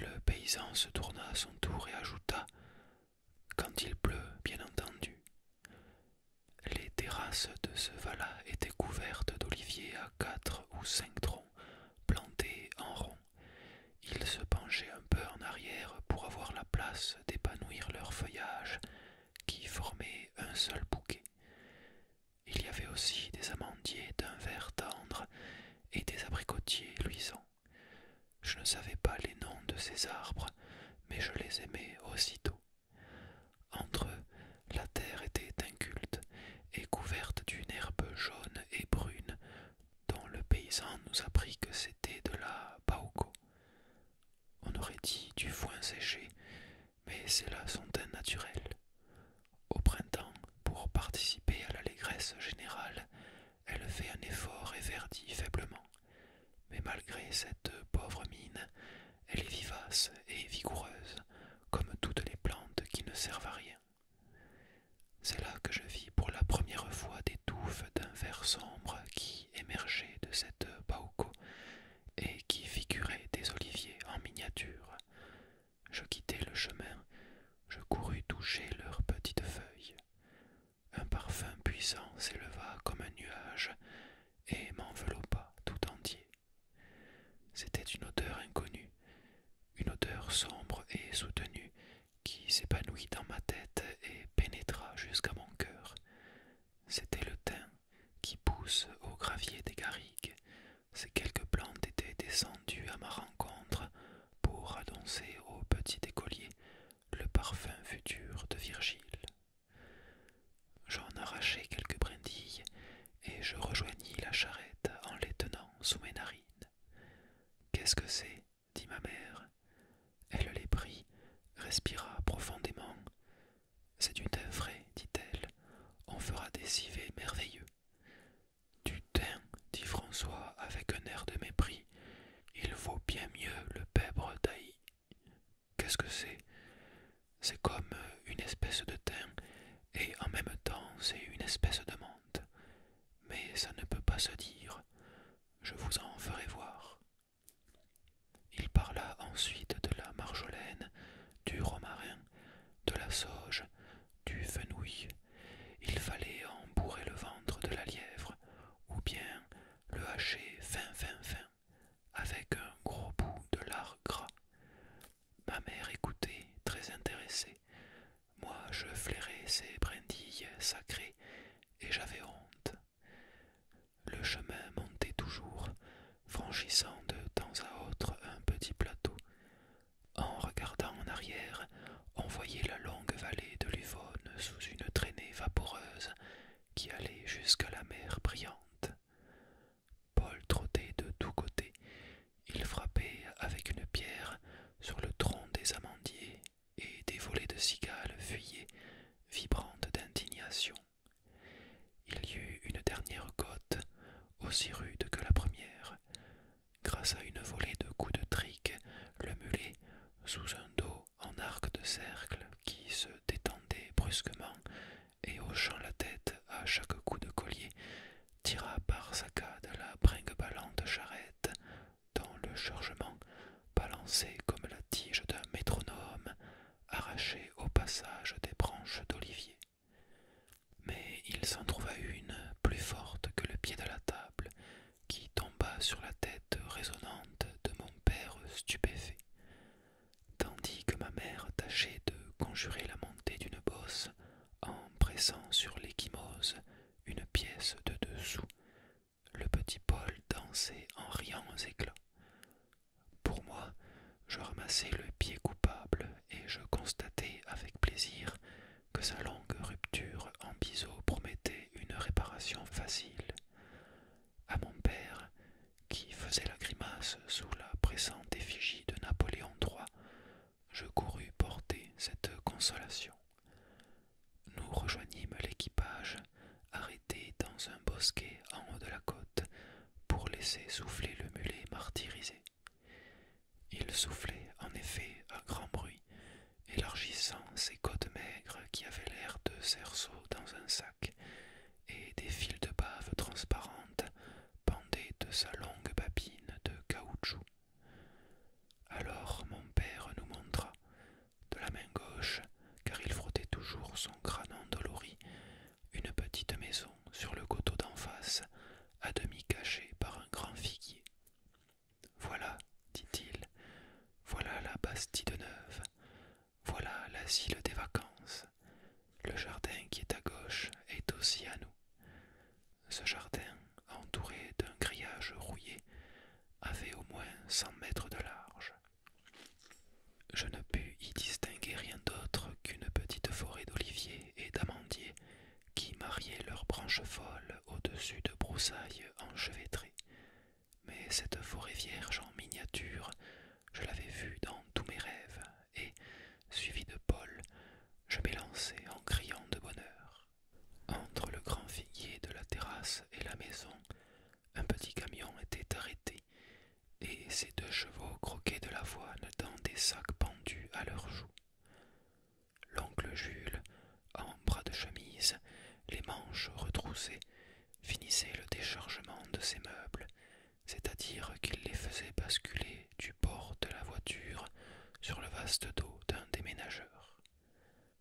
Le paysan se tourna à son tour et ajouta Quand il pleut, bien entendu. Les terrasses de ce vallat étaient couvertes d'oliviers à quatre ou cinq troncs, plantés en rond. Ils se penchaient un peu en arrière pour avoir la place d'épanouir leur feuillage, qui formait un seul bouquet. Il y avait aussi des amandiers d'un vert tendre et des abricotiers luisants. Je ne savais pas les noms de ces arbres, mais je les aimais aussitôt. Entre eux, la terre était inculte et couverte d'une herbe jaune et brune, dont le paysan nous apprit que c'était de la paoko. On aurait dit du foin séché, mais c'est là son teint Au printemps, pour participer à l'allégresse générale, elle fait un effort et verdit faiblement. Mais malgré cette pauvre mine, elle est vivace et vigoureuse, comme toutes les plantes qui ne servent à rien. C'est là que je vis pour la première fois des touffes d'un vert sombre qui émergeaient de cette pauco et qui figuraient des oliviers en miniature. Je quittai le chemin, je courus toucher leurs petites feuilles un parfum puissant s'éleva comme un nuage et m'enveloppa tout entier. C'était une odeur inconnue, une odeur sombre et soutenue qui s'épanouit dans ma tête et pénétra jusqu'à mon cœur. C'était le thym qui pousse au gravier des garrigues. Ces quelques plantes étaient descendues à ma rencontre pour annoncer au petit écolier le parfum futur de Virgile. J'en arrachai quelques brindilles et je rejoignis la charrette en les tenant sous mes narines. Qu'est-ce que c'est dit ma mère. Elle les prit, respira profondément. C'est une œuvre dit-elle. On fera des civets merveilleux. « Du thym, » dit François avec un air de mépris, il vaut bien mieux le pèbre taillis. Qu'est-ce que c'est C'est comme une espèce de thym, et en même temps c'est une espèce de menthe. Mais ça ne peut pas se dire. Je vous en ferai voir. Il parla ensuite de la marjolaine, du romarin, de la sauge, du fenouil, il fallait en bourrer le ventre de la lièvre ou bien le hacher fin fin fin avec un gros bout de lard gras. Ma mère écoutait, très intéressée. Moi, je flairais ces brindilles sacrées et j'avais honte. Le chemin montait toujours, franchissant de temps à autre un petit plateau. En regardant en arrière, envoyait la longue vallée de l'Uvonne sous une traînée vaporeuse qui allait jusqu'à la mer brillante. Paul trottait de tous côtés, il frappait avec une pierre sur le tronc des amandiers, et des volées de cigales fuyaient, vibrantes d'indignation. Il y eut une dernière côte, aussi rude que la première, Grâce à une volée de coups de trique, le mulet, sous un dos en arc de cercle qui se détendait brusquement et hochant la tête à chaque coup de collier, tira par saccade la bringue ballante charrette, dont le chargement, balancé comme la tige d'un métronome, arrachait au passage des branches d'olivier. Mais il s'en trouva une plus forte que le pied de la table, qui tomba sur la tête résonnante de mon père stupéfait, tandis que ma mère tâchait de conjurer la montée d'une bosse en pressant sur l'échymose une pièce de dessous. Le petit Paul dansait en riant aux éclats. Pour moi, je ramassai le pied coupable et je constatai avec plaisir que sa longue rupture en biseau promettait une réparation facile. À mon père, qui faisait la grimace sous la pressante effigie de Napoléon III, je courus porter cette consolation. Nous rejoignîmes l'équipage, arrêté dans un bosquet en haut de la côte, pour laisser souffler le mulet martyrisé. Il soufflait en effet à grand bruit élargissant ses côtes maigres qui avaient l'air de cerceaux dans un sac, et des fils de bave transparentes pendaient de sa longue babine de caoutchouc. Alors mon père nous montra, de la main gauche, car il frottait toujours son crâne endolori, une petite maison sur le coteau d'en face, à demi cachée par un grand figuier. Voilà, dit-il, voilà la Bastille de Neuve, voilà l'asile des vacances. Le jardin qui est à gauche est aussi à nous. Ce jardin, entouré d'un grillage rouillé, avait au moins cent mètres de large. Je ne pus y distinguer rien d'autre qu'une petite forêt d'oliviers et d'amandiers qui mariaient leurs branches folles au-dessus de broussailles enchevêtrées mais cette forêt vierge en miniature, je l'avais vue dans tous mes rêves, et, suivi de Paul, je m'élançai en criant de bonheur. Entre le grand figuier de la terrasse et la maison, un petit camion était arrêté, et ses deux chevaux croquaient de la l'avoine dans des sacs pendus à leurs joues. L'oncle Jules, en bras de chemise, les manches retroussées, finissait le déchargement de ses meubles, c'est-à-dire qu'il les faisait basculer du bord de la voiture sur le vaste dos d'un déménageur.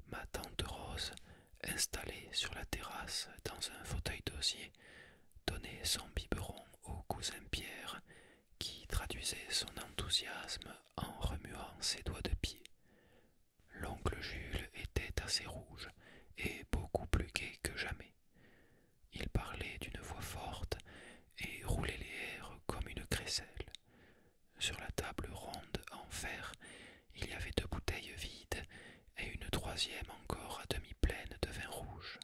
Ma tante Rose, installée sur la terrasse dans un fauteuil d'osier, donnait son biberon au cousin Pierre, qui traduisait son enthousiasme en remuant ses doigts de pied. L'oncle Jules était assez rouge et beaucoup plus gai que jamais. Il parlait d'une voix forte et roulait les airs comme une crécelle. Sur la table ronde en fer, il y avait deux bouteilles vides et une troisième encore à demi pleine de vin rouge.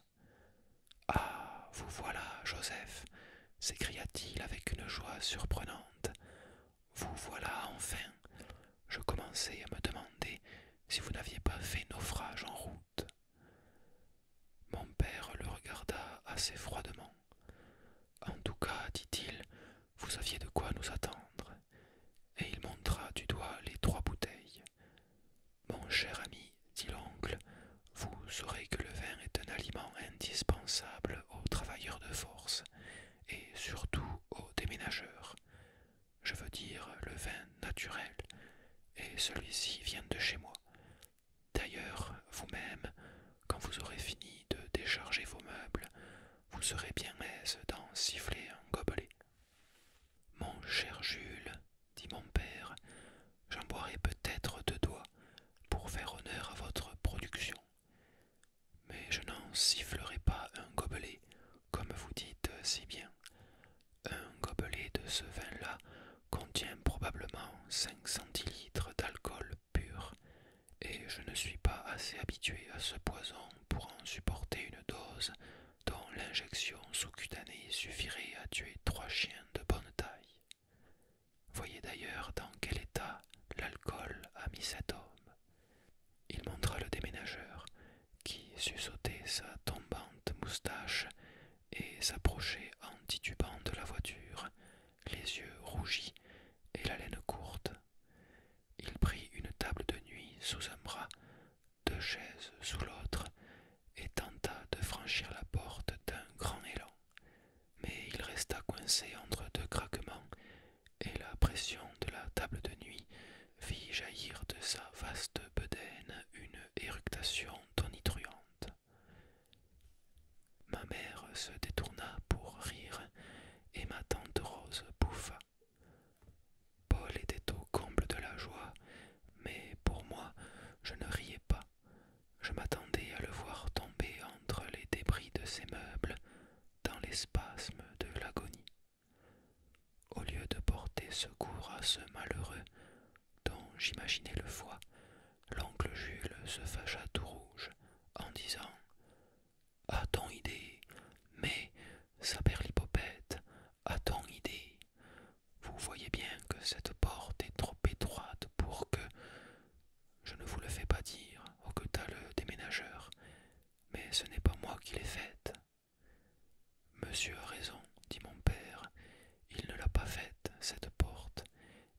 Ah. Vous voilà, Joseph. S'écria t-il avec une joie surprenante. Vous voilà enfin. Je commençais à me demander si vous n'aviez pas fait naufrage en route. Mon père le regarda assez froidement. En tout cas, dit-il, vous aviez de quoi nous attendre. Et il montra du doigt les trois bouteilles. Mon cher ami, dit l'oncle, vous saurez que le vin est un aliment indispensable aux travailleurs de force et surtout aux déménageurs. Je veux dire le vin naturel, et celui-ci vient de chez moi. D'ailleurs, vous-même, quand vous aurez fini de décharger vos meubles, vous serez bien aise d'en siffler un gobelet. Mon cher Jules, dit mon père, j'en boirai peut-être deux doigts pour faire honneur à votre production. Mais je n'en sifflerai pas un gobelet, comme vous dites si bien. Un gobelet de ce vin-là contient probablement cinq centilitres d'alcool pur, et je ne suis pas assez habitué à ce poison pour en supporter une dose dont l'injection sous-cutanée suffirait à tuer trois chiens de bonne taille. Voyez d'ailleurs dans quel état l'alcool a mis cet homme. Il montra le déménageur, qui susautait sa tombante moustache et s'approchait en titubant de la voiture, les yeux rougis et la laine courte. Il prit une table de nuit sous un bras, deux chaises sous l'autre, et tenta de franchir la porte d'un grand élan mais il resta coincé entre deux craquements, et la pression de la table de nuit fit jaillir de sa vaste bedaine une éructation tonitruante. Ma mère se détourna pour rire, et ma tante Rose bouffa. Paul était au comble de la joie, mais pour moi, je ne riais pas. Je m'attendais à le voir tomber entre les débris de ses meubles, dans les spasmes de l'agonie. Au lieu de porter secours à ce malheureux dont j'imaginais le foie, l'oncle Jules se fâcha tout rouge en disant A ton idée, mais, saperlipopette, à ton idée, vous voyez bien que cette porte est trop étroite pour que. Je ne vous le fais pas dire, au que t'as le déménageur, mais ce n'est pas moi qui l'ai faite. Monsieur a raison, dit mon père, il ne l'a pas faite, cette porte,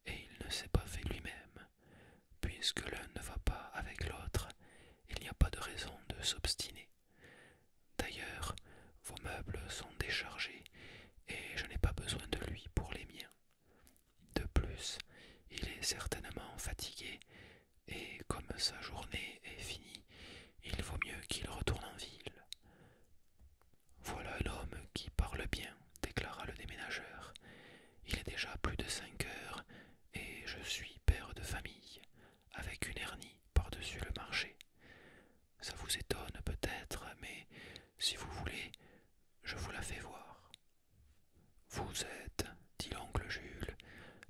et il ne s'est pas fait lui-même. Puisque l'un ne va pas avec l'autre, il n'y a pas de raison de s'obstiner. D'ailleurs, vos meubles sont déchargés, et je n'ai pas besoin de lui pour les miens. De plus, il est certainement fatigué, et comme sa journée est finie, il vaut mieux qu'il retourne en ville. Voilà l'homme qui parle bien, déclara le déménageur. Il est déjà plus de cinq heures, et je suis père de famille, avec une hernie par-dessus le marché. Ça vous étonne peut-être, mais si vous voulez, je vous la fais voir. Vous êtes, dit l'oncle Jules,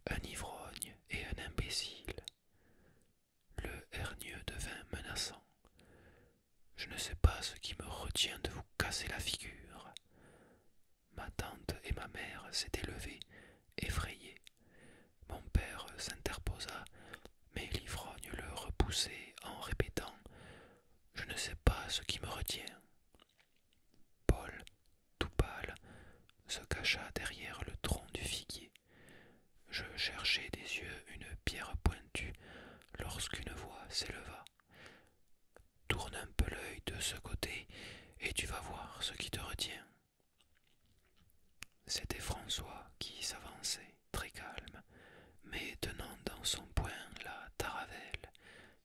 un ivrogne et un imbécile. Le hernieux devint menaçant. Je ne sais pas ce qui me retient de vous casser la figure. Ma tante et ma mère s'étaient levées, effrayées. Mon père s'interposa, mais l'ivrogne le repoussait en répétant Je ne sais pas ce qui me retient. Paul, tout pâle, se cacha derrière le tronc du figuier. Je cherchais des yeux une pierre pointue lorsqu'une voix s'éleva. Tourne un peu l'œil de ce côté et tu vas voir ce qui te retient. C'était François qui s'avançait, très calme, mais tenant dans son poing la taravelle,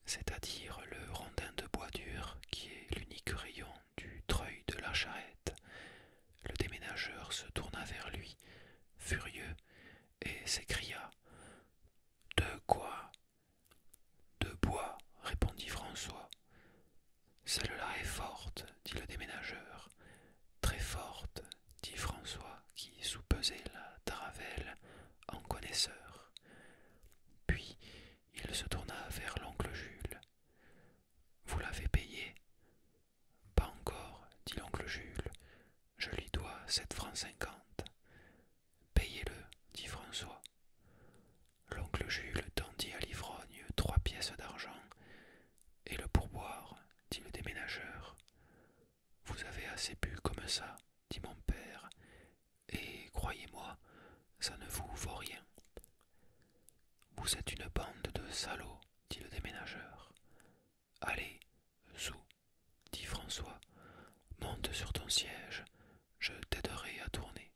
c'est-à-dire le rondin de bois dur qui est l'unique rayon du treuil de la charrette. Le déménageur se tourna vers lui, furieux, et s'écria De quoi De bois, répondit François. Celle-là est forte, dit le déménageur. Très forte, dit François, qui soupesait la taravelle en connaisseur. Puis il se tourna vers l'oncle Jules. Vous l'avez payé Pas encore, dit l'oncle Jules. Je lui dois sept francs cinquante. Payez-le, dit François. L'oncle Jules tendit à l'ivrogne trois pièces d'argent. Et le pourboire, dit le déménageur. Vous avez assez bu comme ça, dit mon père, et croyez-moi, ça ne vous vaut rien. Vous êtes une bande de salauds, dit le déménageur. Allez, sous, » dit François, monte sur ton siège, je t'aiderai à tourner.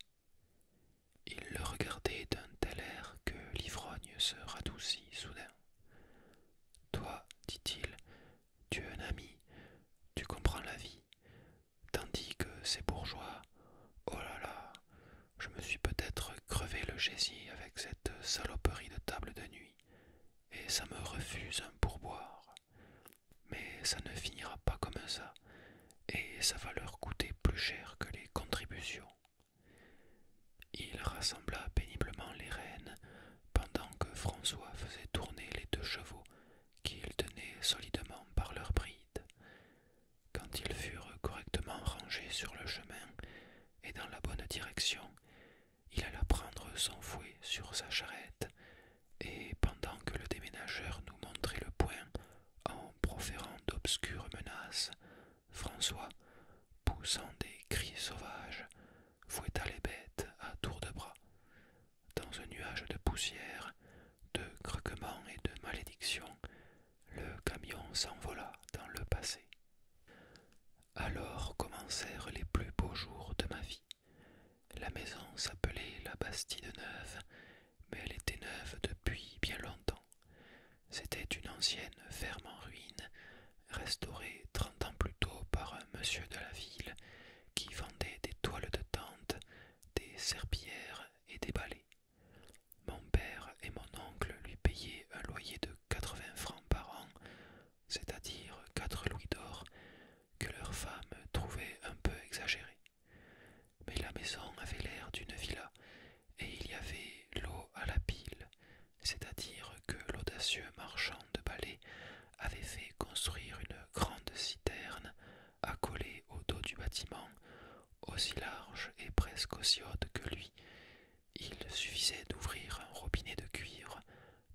Il le regardait d'un tel air que l'ivrogne se radoucit soudain. Toi, dit-il, tu es un ami, tu comprends la vie. Tandis que ces bourgeois, oh là là, je me suis peut-être crevé le gésier avec cette saloperie de table de nuit, et ça me refuse un pourboire. Mais ça ne finira pas comme ça, et ça va leur coûter plus cher que les contributions. Il rassembla péniblement les rênes pendant que François faisait tourner les deux chevaux qu'ils tenaient solidement par leurs brides. Quand ils furent correctement rangés sur le chemin et dans la bonne direction, il alla prendre son fouet sur sa charrette, et pendant que le déménageur nous montrait le point, en proférant d'obscures menaces, François, poussant des cris sauvages, fouetta les bêtes à tour de bras dans un nuage de poussière, de craquements et de malédictions, le camion s'envola dans le passé. Alors commencèrent les plus beaux jours de ma vie. La maison s'appelait la Bastide Neuve, mais elle était neuve depuis bien longtemps. C'était une ancienne ferme en ruine, restaurée trente ans plus tôt par un monsieur de la ville, qui vendaient des toiles de tente, des serpières et des balais. Mon père et mon oncle lui payaient un loyer de 80 francs par an, c'est-à-dire quatre louis d'or, que leurs femme trouvait un peu exagéré. Mais la maison avait l'air d'une villa, et il y avait l'eau à la pile, c'est-à-dire que l'audacieux marchand de balais avait fait construire une grande citerne accolée au dos du bâtiment, aussi large et presque aussi haute que lui. Il suffisait d'ouvrir un robinet de cuivre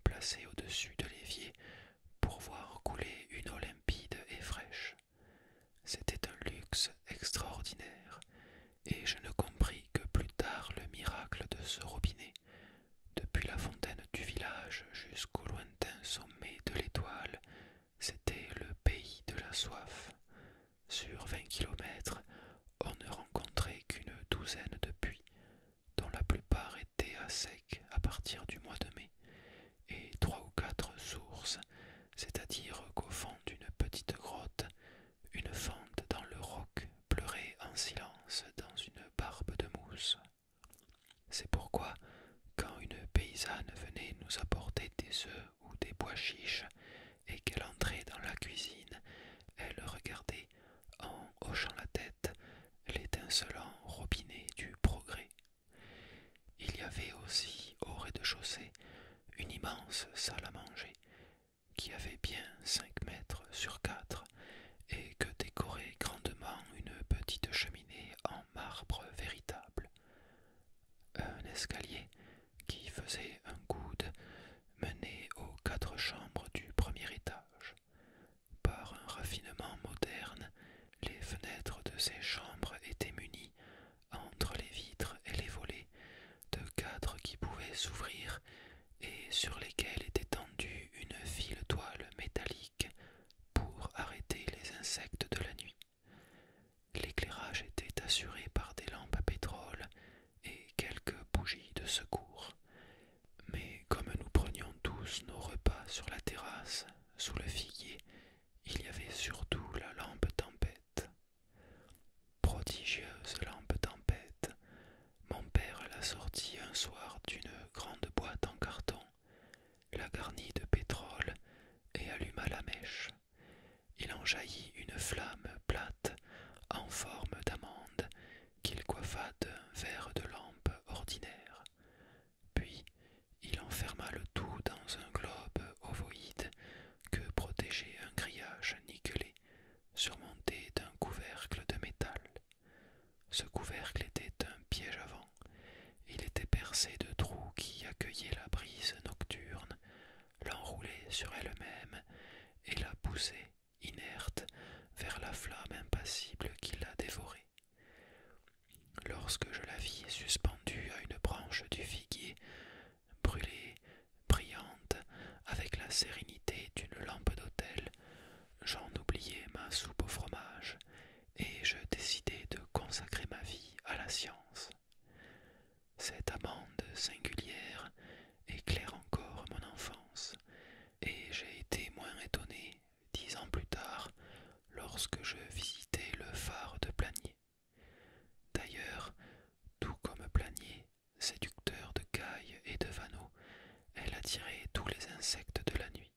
placé au-dessus de l'évier pour voir couler une eau limpide et fraîche. C'était un luxe extraordinaire, et je ne compris que plus tard le miracle de ce robinet, depuis la fontaine du village jusqu'au lointain sommet de l'étoile, c'était le pays de la soif. Sur vingt kilomètres, on ne rencontrait qu'une douzaine de puits, dont la plupart étaient à sec à partir du mois de mai, et trois ou quatre sources, c'est-à-dire qu'au fond d'une petite grotte, une fente dans le roc pleurait en silence dans une barbe de mousse. C'est pourquoi, quand une paysanne venait nous apporter des œufs ou des bois chiches, et qu'elle entrait dans la cuisine, elle regardait, en hochant la tête, l'étincelant robinet du progrès. Il y avait aussi, au rez-de-chaussée, une immense salle à manger, qui avait bien cinq mètres sur quatre, et que décorait grandement une petite cheminée en marbre véritable. Un escalier qui faisait un coude menait aux quatre chambres du premier étage. Par un raffinement moderne, les fenêtres de ces chambres étaient munies, entre les vitres et les volets, de cadres qui pouvaient s'ouvrir et sur lesquels était tendue une file toile métallique pour arrêter les insectes de la nuit. L'éclairage était assuré par des lampes à pétrole et quelques bougies de secours. Mais comme nous prenions tous nos repas sur la terrasse, sous le figuier, il y avait surtout la lampe tempête. Prodigieuse lampe tempête, mon père la sortit un soir d'une grande boîte en carton la garnit de pétrole et alluma la mèche. Il en jaillit une flamme plate en forme d'amande qu'il coiffa d'un verre de lampe ordinaire. Puis il enferma le tout dans un globe ovoïde que protégeait un grillage nickelé surmonté d'un couvercle de métal. Ce couvercle était un piège avant. Il était percé de trous qui accueillaient la brise nocturne, l'enroulaient sur elle-même et la poussaient, inerte, vers la flamme impassible qui la dévorait. Lorsque je la vis suspendue à une branche du figuier, brûlée, brillante, avec la sérénité d'une lampe d'autel, j'en oubliais ma soupe au fromage et je décidai de consacrer ma vie à la science. Cette amende singulière éclaire encore mon enfance, et j'ai été moins étonné dix ans plus tard lorsque je visitais le phare de Planier. D'ailleurs, tout comme Planier, séducteur de cailles et de vanneaux, elle attirait tous les insectes de la nuit.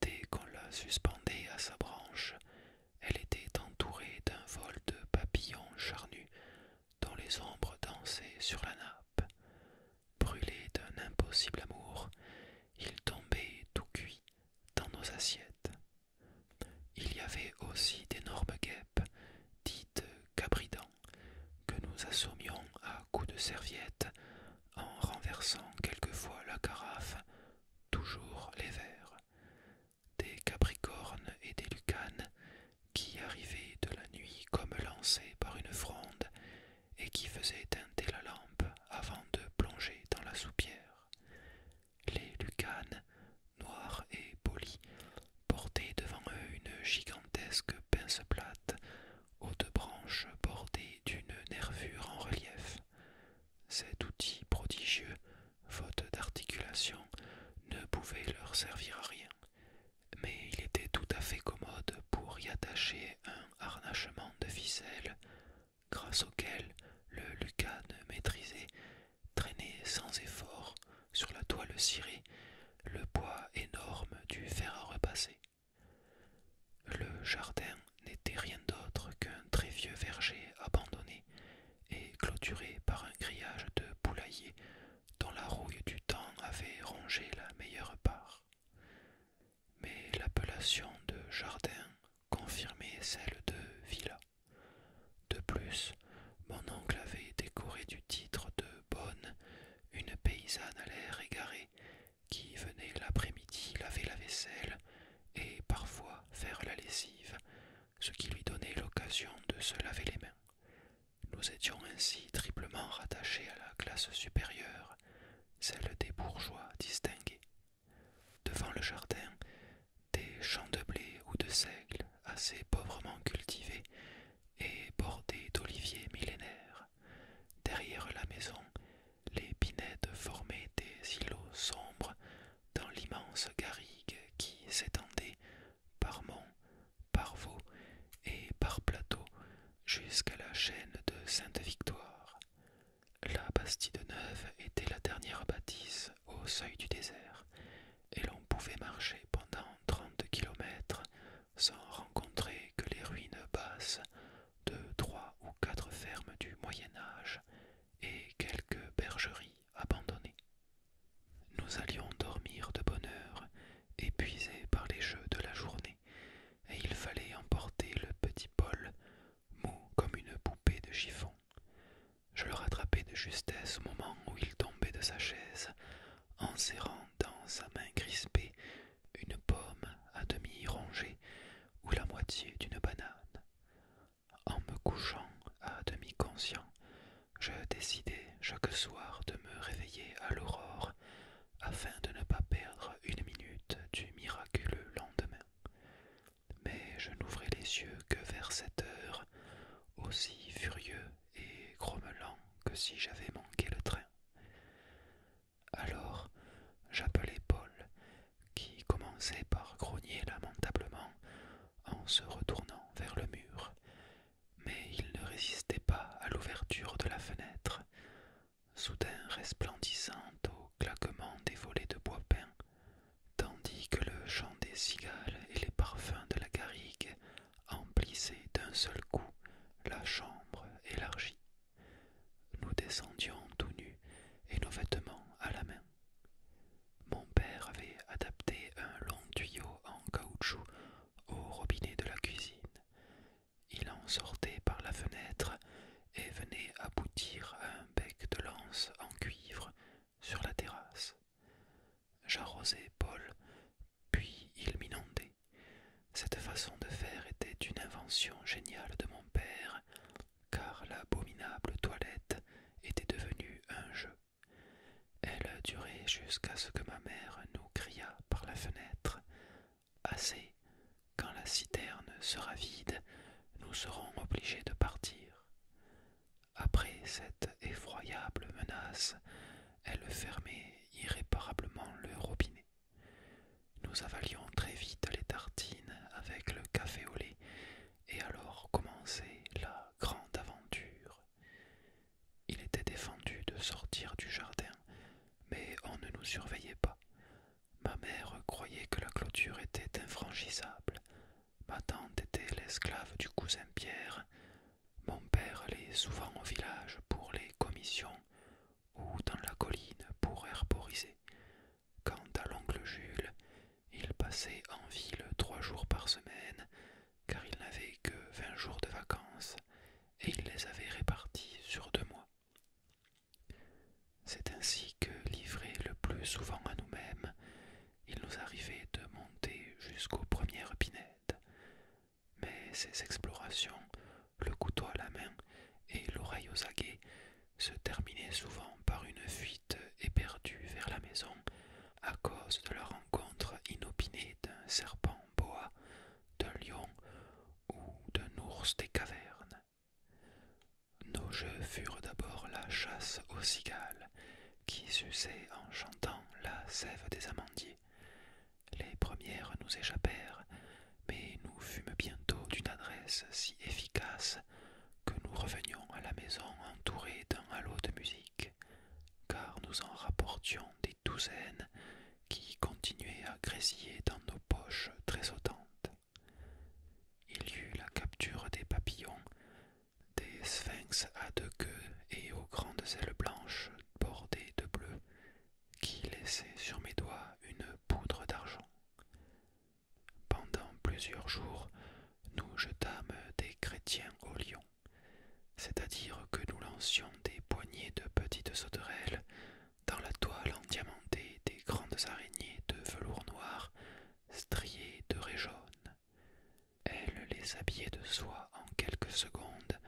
Dès qu'on la suspendait à sa branche, elle était entourée d'un vol de papillons charnus dont les ombres dansaient sur la nappe. Brûlés d'un impossible amour, ils tombaient tout cuits dans nos assiettes. Il y avait aussi d'énormes guêpes, dites cabridans, que nous assommions à coups de serviette en renversant quelquefois la carafe, toujours les verres, des capricornes et des lucanes qui arrivaient de la nuit comme lancés par une fronde et qui faisaient teinter la lampe avant de plonger dans la soupière. Les lucanes, noirs et polis, portaient devant eux une gigantesque pince plate aux deux branches bordées d'une nervure en relief. Cet outil prodigieux, faute d'articulation, ne pouvait leur servir à rien, mais il était tout à fait commode pour y attacher un harnachement de ficelle, grâce auquel le lucane maîtrisé traînait sans effort sur la toile cirée le poids énorme du fer à repasser. Le jardin n'était rien d'autre qu'un très vieux verger abandonné et clôturé par un grillage de poulailler dont la rouille du temps avait rongé la meilleure part. Mais l'appellation de jardin confirmait celle de villa. De plus, mon oncle avait décoré du titre de bonne une paysanne à l'air égaré qui venait l'après-midi laver la vaisselle et parfois faire la lessive, ce qui lui donnait l'occasion de se laver les mains. Nous étions ainsi triplement rattachés à la classe supérieure, celle des bourgeois distingués. Devant le jardin, des champs de blé ou de seigle assez pauvrement cultivés et bordés d'oliviers millénaires. Derrière la maison, les pinèdes formaient des îlots sombres dans l'immense garrigue qui s'étendait par monts, par veaux et par plateaux jusqu'à la chaîne de Sainte-Victoire. La Bastide Neuve était la dernière bâtisse au seuil du désert, et l'on pouvait marcher pendant trente kilomètres sans rencontrer que les ruines basses de trois ou quatre fermes du Moyen Âge et quelques bergeries abandonnées. Nous allions dormir de bonne heure, épuisés par les jeux de la journée, et il fallait emporter le petit Paul, mou comme une poupée de chiffon. Je le rattrapai de justesse au moment où il tombait de sa chaise, en serrant dans sa main crispée une pomme à demi rongée ou la moitié d'une banane. En me couchant à demi conscient, je décidai chaque soir de me réveiller à l'aurore afin de ne pas perdre une minute du miraculeux lendemain. Mais je n'ouvrais les yeux que vers cette heure, aussi furieux et grommelant que si j'avais manqué le train. Alors j'appelai Paul, qui commençait par grogner lamentablement en se retournant vers le mur, mais il ne résistait pas à l'ouverture de la fenêtre, soudain resplendissant au claquement des volets de bois peint, tandis que le chant des cigales et les parfums de la garrigue emplissaient d'un seul coup la chambre élargie. Nous descendions tout nus et nos vêtements à la main. Mon père avait adapté un long tuyau en caoutchouc au robinet de la cuisine. Il en sortait par la fenêtre et venait aboutir à un bec de lance en cuivre sur la terrasse. J'arrosais Paul, puis il m'inondait. Cette façon de faire était une invention géniale de mon père car l'abominable toilette était devenue un jeu. Elle durait jusqu'à ce que ma mère nous cria par la fenêtre Assez, quand la citerne sera vide, nous serons obligés de partir. Après cette effroyable menace, elle fermait irréparablement le robinet. Nous avalions très vite les tartines avec le café au lait, et alors commençait la grande aventure. Il était défendu de sortir du jardin, mais on ne nous surveillait pas. Ma mère croyait que la clôture était infranchissable. Ma tante était l'esclave du cousin Pierre. Mon père allait souvent au village pour les commissions ou dans la colline pour herboriser. Quant à l'oncle Jules, il passait en ville trois jours par semaine, car il n'avait que vingt jours de vacances, et il les avait répartis sur deux mois. C'est ainsi que, livrés le plus souvent à nous-mêmes, il nous arrivait de monter jusqu'aux premières pinettes, Mais ces explorations le couteau à la main et l'oreille aux aguets, se terminaient souvent par une fuite éperdue vers la maison à cause de la rencontre inopinée d'un serpent bois d'un lion ou d'un ours des cavernes. Nos jeux furent d'abord la chasse aux cigales, qui suçaient en chantant la sève des amandiers. Les premières nous échappèrent, mais nous fûmes bientôt d'une adresse si efficace que nous revenions à la maison entourés d'un halo de musique, car nous en rapportions des douzaines qui continuaient à grésiller dans nos poches très sautantes. Il y eut la capture des papillons, des sphinx à deux queues et aux grandes ailes blanches bordées de bleu, qui laissaient sur mes doigts une poudre d'argent. Pendant plusieurs jours, nous jetâmes des chrétiens au lion, c'est-à-dire que nous lancions des poignées de petites sauterelles dans la toile endiamantée des grandes araignées de velours noir striées de raies jaunes. Elles les habillaient de soie en quelques secondes,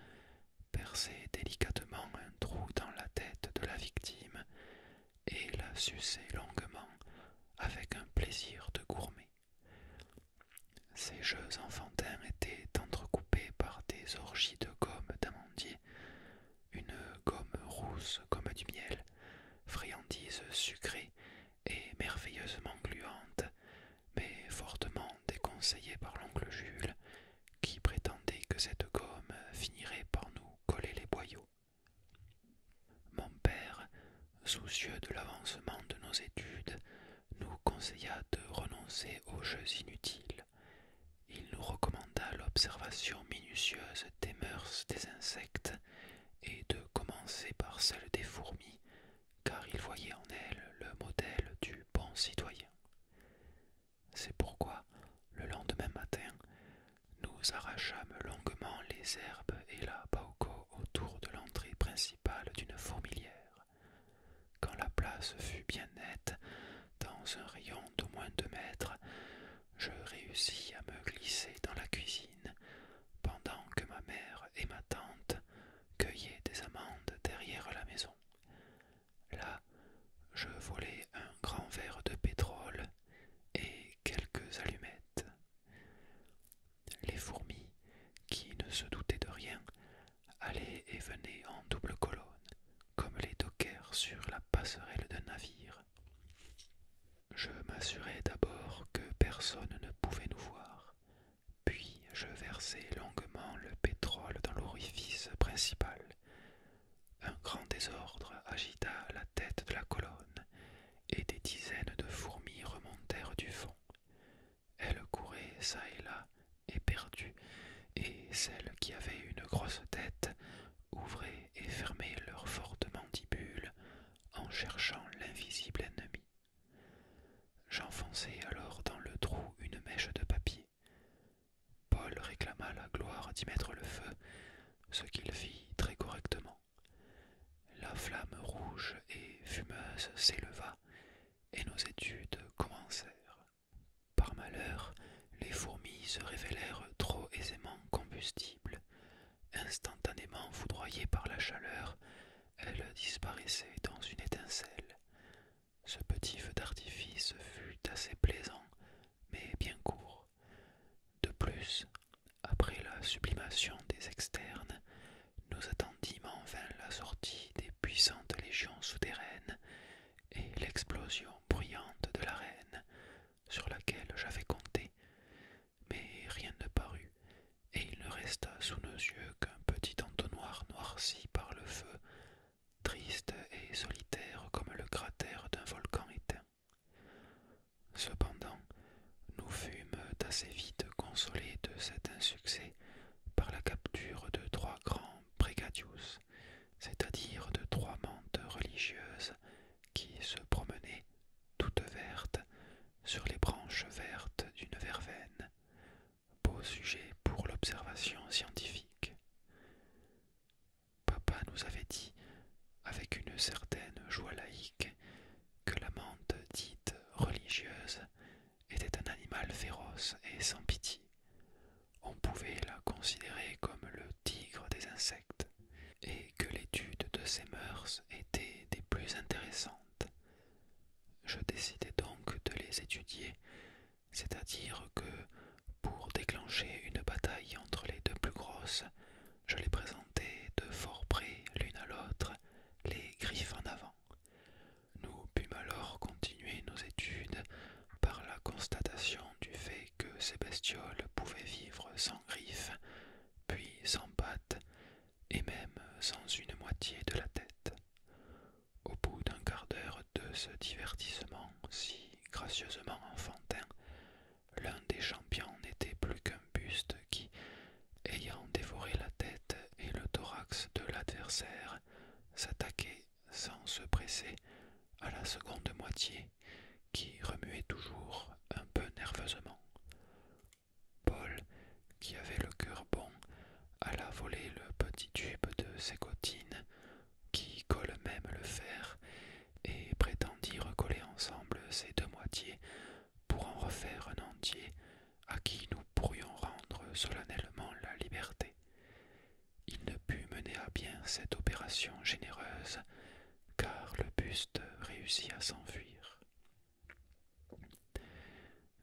perçaient délicatement un trou dans la tête de la victime et la suçait longuement avec un plaisir de gourmet. Ces jeux enfantins étaient entrecoupés par des orgies de gomme d'amandier, une gomme rousse comme du miel, friandise sucrée et merveilleusement gluante, mais fortement déconseillée par l'oncle Jules, qui prétendait que cette gomme finirait par nous coller les boyaux. Mon père, soucieux de l'avancement de nos études, nous conseilla de renoncer aux jeux inutiles. Il nous recommanda l'observation minutieuse des mœurs des insectes et de commencer par celle des fourmis, car il voyait en elles le modèle du bon citoyen. C'est pourquoi, le lendemain matin, nous arrachâmes longuement les herbes et la pauco autour de l'entrée principale d'une fourmilière. Quand la place fut bien nette, dans un rayon d'au moins deux mètres, je réussis à me glisser dans la cuisine, pendant que ma mère et ma tante cueillaient des amandes derrière la maison. Là, je volai un grand verre de pétrole et quelques allumettes. Les fourmis, qui ne se doutaient de rien, allaient et venaient en double colonne, comme les dockers sur la passerelle d'un navire. Je m'assurai d'abord que personne ne pouvait nous voir, puis je versai longuement le pétrole dans l'orifice principal, un grand désordre agita la tête de la colonne, et des dizaines de fourmis remontèrent du fond. Elles couraient çà et là, éperdues, et celles qui avaient une grosse tête ouvraient et fermaient leurs fortes mandibules en cherchant l'invisible ennemi. J'enfonçai alors dans le trou une mèche de papier. Paul réclama la gloire d'y mettre le feu, ce qu'il fit très correctement. La flamme rouge et fumeuse s'éleva, et nos études commencèrent. Par malheur, les fourmis se révélèrent trop aisément combustibles. Instantanément foudroyées par la chaleur, elles disparaissaient dans une étincelle. Ce petit feu d'artifice fut assez plaisant, mais bien court. De plus, après la sublimation des externes, nous attendîmes en vain la sortie des puissantes légions souterraines et l'explosion bruyante de la reine, sur laquelle j'avais compté, mais rien ne parut, et il ne resta sous nos yeux qu'un petit entonnoir noirci par le feu, triste et solitaire comme le cratère d'un volcan éteint. Cependant, nous fûmes assez vite consolés de cet insuccès par la capture de trois grands brigadius, c'est-à-dire de trois mantes religieuses qui se promenaient, toutes vertes, sur les branches vertes d'une verveine, beau sujet pour l'observation scientifique. Papa nous avait dit, avec une certaine joie laïque, que la dite religieuse était un animal féroce et sans pitié. On pouvait la considérer comme le tigre des insectes, et que l'étude de ses mœurs était des plus intéressantes. Je décidai donc de les étudier, c'est-à-dire que pour déclencher une bataille entre les deux plus grosses, je les présentais de fort près l'une à l'autre, les griffes en avant. Nous pûmes alors continuer nos études par la constatation du fait que ces bestioles pouvaient vivre sans griffes, puis sans pattes, et même sans une moitié de la tête. Au bout d'un quart d'heure de ce divertissement si gracieusement enfantin, L'un des champions n'était plus qu'un buste qui, ayant dévoré la tête et le thorax de l'adversaire, s'attaquait sans se presser à la seconde moitié, qui remuait toujours un peu nerveusement. Paul, qui avait le cœur bon, alla voler le petit tube de ses cotines, qui colle même le fer, et prétendit recoller ensemble ces deux moitiés pour en refaire un entier à qui nous pourrions rendre solennellement la liberté. Il ne put mener à bien cette opération généreuse, car le buste réussit à s'enfuir.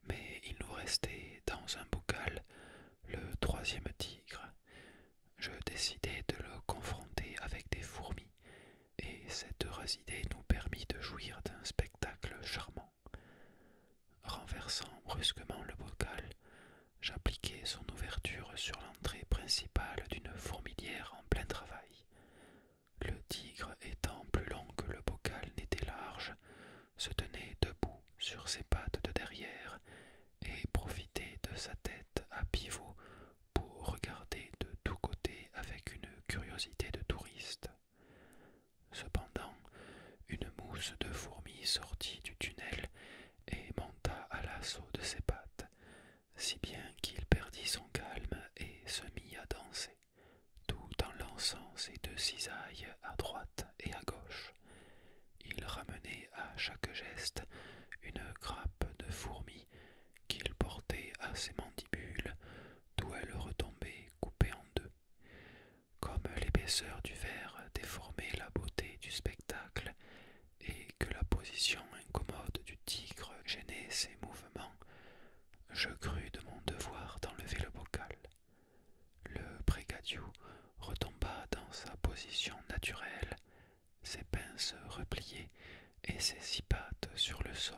Mais il nous restait dans un bocal le troisième tigre, je décidai de le confronter avec des fourmis, et cette heureuse idée nous permit de jouir d'un spectacle charmant. Renversant brusquement le bocal, j'appliquai son ouverture sur l'entrée principale d'une fourmilière en plein travail. Le tigre étant plus long que le bocal n'était large, se tenait debout sur ses pattes de derrière et profitait de sa tête à pivot pour regarder de tous côtés avec une curiosité de touriste. Cependant, une mousse de fourmis sortit du tunnel et monta à l'assaut de ses pattes, si bien qu'il perdit son calme et se mit à danser, tout en lançant ses deux cisailles à droite et à gauche. Il ramenait à chaque geste une grappe de fourmis qu'il portait à ses mandibules, d'où elle retombait coupée en deux. Comme l'épaisseur du verre déformait la beauté du spectacle, et que la position incommode du tigre gênait ses mouvements, je crus de mon devoir d'enlever le bocal. Le brigadier retomba dans sa position naturelle, ses pinces repliées et ses six pattes sur le sol.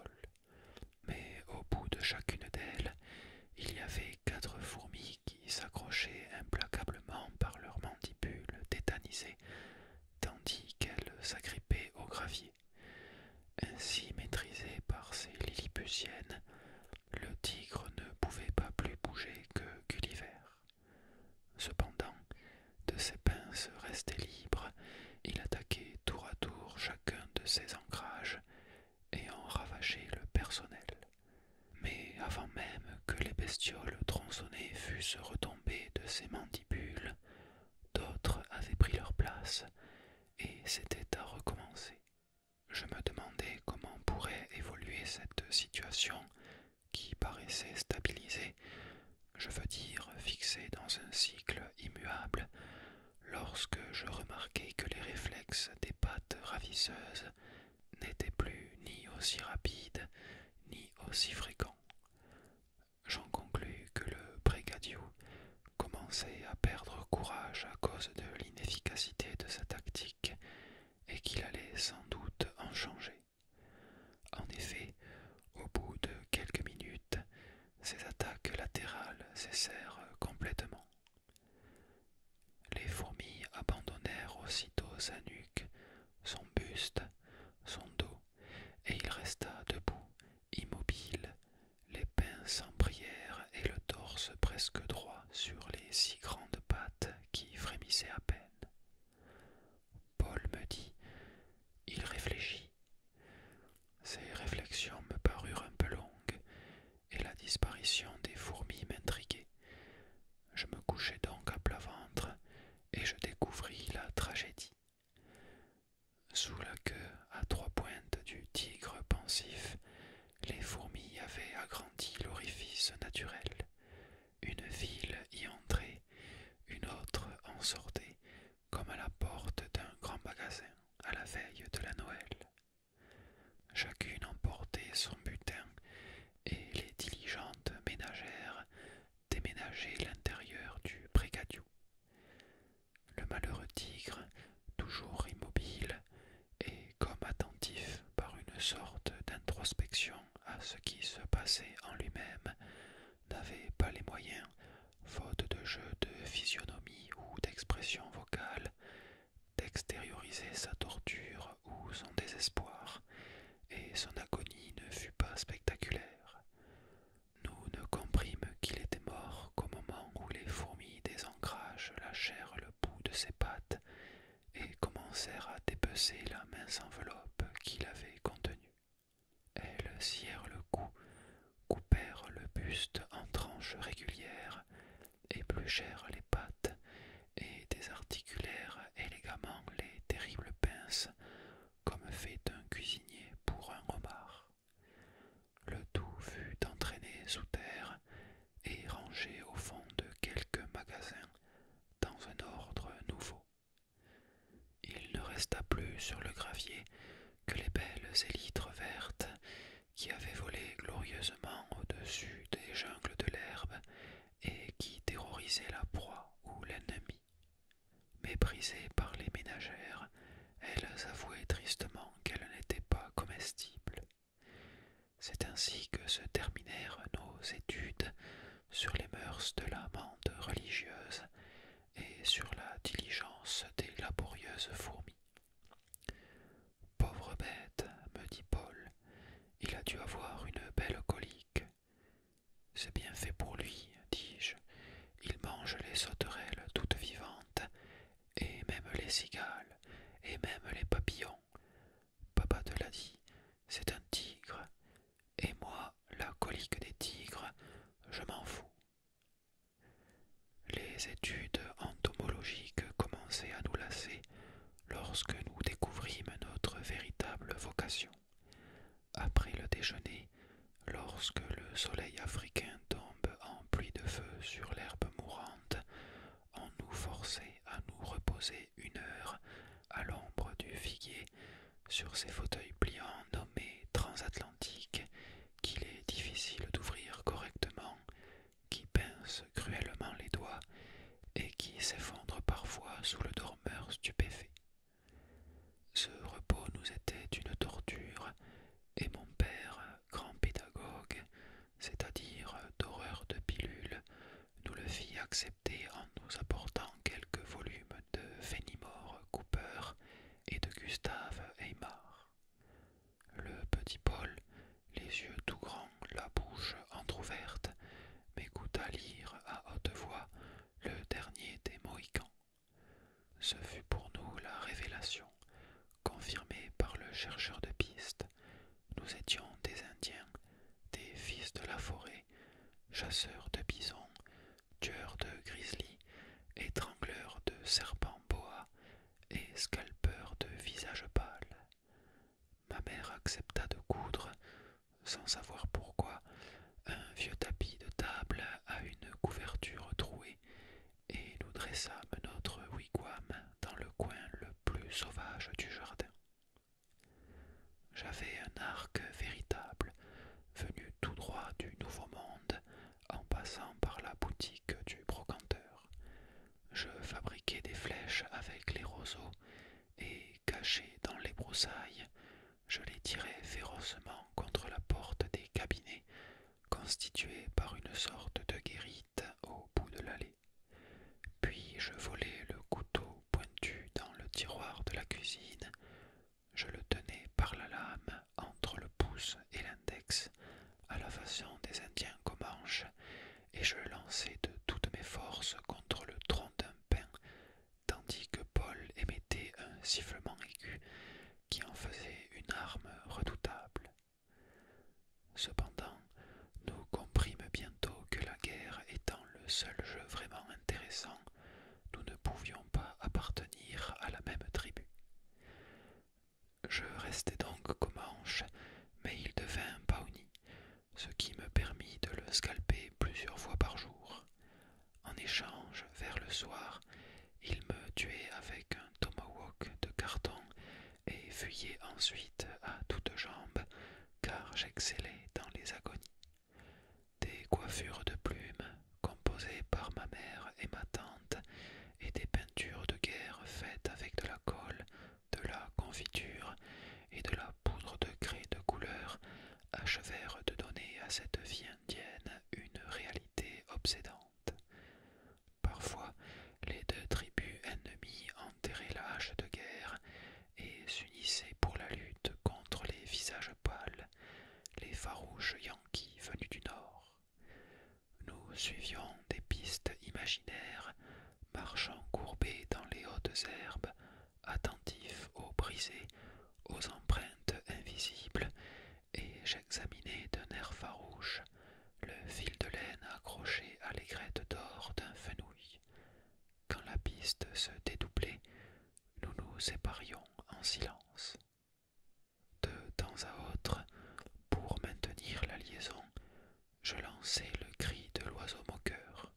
Mais au bout de chacune d'elles, il y avait quatre fourmis qui s'accrochaient implacablement par leurs mandibules tétanisées, tandis qu'elles s'agrippaient au gravier. Ainsi maîtrisé par ces lilliputiennes, le tigre ne pouvait pas plus bouger que Gulliver. Cependant, de ses pinces restées libres, il attaquait tour à tour chacun de ses ancrages et en ravageait le personnel. Mais avant même que les bestioles tronçonnées fussent retombées de ses mandibules, d'autres avaient pris leur place et c'était à recommencer. Je me demandais comment pourrait évoluer cette situation qui paraissait stabilisé, je veux dire fixé dans un cycle immuable, lorsque je remarquai que les réflexes des pattes ravisseuses n'étaient plus ni aussi rapides ni aussi fréquents. J'en conclus que le brigadier commençait à perdre courage à cause de l'inefficacité de sa tactique et qu'il allait sans doute en changer. En effet, au bout de quelques minutes, ces attaques latérales cessèrent complètement. Les fourmis abandonnèrent aussitôt sa nuque, son buste, son dos, et il resta debout, immobile, les pinces en prière et le torse presque droit sur les six grandes pattes qui frémissaient à peine. Paul me dit Il réfléchit. Ces réflexions me parurent un peu longues, et la disparition des fourmis m'intriguait. Je me couchai donc à plat ventre, et je découvris la tragédie. Sous la queue à trois pointes du tigre pensif, les fourmis avaient agrandi l'orifice naturel. Une ville y entrait, une autre en sortait, comme à la porte d'un grand magasin, à la veille de la Noël. Chacune emportait son butin, et les diligentes ménagères déménageaient l'intérieur du brigadiou. Le malheureux tigre, toujours immobile, et comme attentif par une sorte d'introspection à ce qui se passait en lui-même, n'avait pas les moyens, faute de jeu de physionomie ou d'expression vocale, d'extérioriser sa torture ou son désespoir, et son agonie ne fut pas spectaculaire. Nous ne comprîmes qu'il était mort qu'au moment où les fourmis des ancrages lâchèrent le bout de ses pattes et commencèrent à dépecer la mince enveloppe qu'il avait contenue. Elles scièrent le cou, coupèrent le buste en tranches régulières, épluchèrent les pattes et désarticulèrent élégamment les terribles pinces, comme fait un cuisinier pour un homard. Le tout fut entraîné sous terre et rangé au fond de quelques magasins dans un ordre nouveau. Il ne resta plus sur le gravier que les belles élytres vertes qui avaient volé glorieusement au-dessus des jungles de l'herbe et qui terrorisaient la proie ou l'ennemi. Méprisées par les ménagères, elles avouaient tristement qu'elles n'étaient pas comestibles. C'est ainsi que se terminèrent nos études sur les mœurs de l'amende religieuse et sur la diligence des laborieuses fourmis. Pauvre bête, me dit Paul, il a dû avoir une belle colique. C'est bien fait pour lui, dis-je. Il mange les sauterelles toutes vivantes, et même les cigales, et même les papillons. Papa te l'a dit, c'est un tigre, et moi, la colique des tigres, je m'en fous. Les études entomologiques commençaient à nous lasser lorsque nous découvrîmes notre véritable vocation. Après le déjeuner, lorsque le soleil africain tombe en pluie de feu sur l'herbe mourante, on nous forçait à nous reposer une heure à l'ombre du figuier sur ces fauteuils pliants nommés transatlantiques qu'il est difficile d'ouvrir correctement, qui pincent cruellement les doigts et qui s'effondrent parfois sous le dormeur stupéfait. Ce repos nous était une torture, et mon père, grand pédagogue, c'est-à-dire d'horreur de pilules, nous le fit accepter en nous apportant quelques volumes de Fenimore Cooper et de Gustave Aymar. Le petit Paul, les yeux tout grands, la bouche entr'ouverte, m'écouta lire à haute voix le dernier des Mohicans. Ce fut pour nous la révélation, confirmée par le chercheur de pistes. Nous étions des Indiens, des fils de la forêt, chasseurs de bisons, tueur de grizzly, étrangleur de serpents boa et scalpeur de visage pâles, Ma mère accepta de coudre, sans savoir pourquoi, un vieux tapis de table à une couverture trouée, et nous dressâmes notre wigwam dans le coin le plus sauvage du jardin. J'avais un arc véritable, venu tout droit du Nouveau Monde, en passant par la boutique du brocanteur. Je fabriquais des flèches avec les roseaux, et, cachées dans les broussailles, je les tirais férocement contre la porte des cabinets, constituée par une sorte de guérite au bout de l'allée. Puis je volais le couteau pointu dans le tiroir de la cuisine, je le tenais par la lame entre le pouce et l'index, à la façon des Indiens Comanches, et je le lançais de toutes mes forces contre le tronc d'un pin, tandis que Paul émettait un sifflement aigu qui en faisait une arme redoutable. Cependant, nous comprîmes bientôt que la guerre étant le seul jeu vraiment intéressant, nous ne pouvions pas appartenir à la même tribu. Je restai donc comme ange, mais il devint Pawnee, ce qui me permit de le scalper plusieurs fois par jour. En échange, vers le soir, il me tuait avec un tomahawk de carton et fuyait ensuite à toutes jambes, car j'excellais dans les agonies des coiffures de plumes composées par ma mère et ma tante et des peintures de guerre faites avec de la colle, de la confiture et de la poudre de craie de couleur achevèrent de donner à cette vie indienne une réalité obsédante. Parfois, les deux tribus ennemies enterraient l'âge de guerre et s'unissaient pour la lutte contre les visages pâles les farouches Yankees venus du nord. Nous suivions des pistes imaginaires, marchant courbés dans les hautes herbes, attentifs aux brisées, aux empreintes invisibles, et j'examinais d'un air farouche le fil de laine accroché à l'aigrette d'or d'un fenouil. Quand la piste se dédoublait, nous nous séparions en silence. De temps à autre, pour maintenir la liaison, je lançai le cri de l'oiseau moqueur,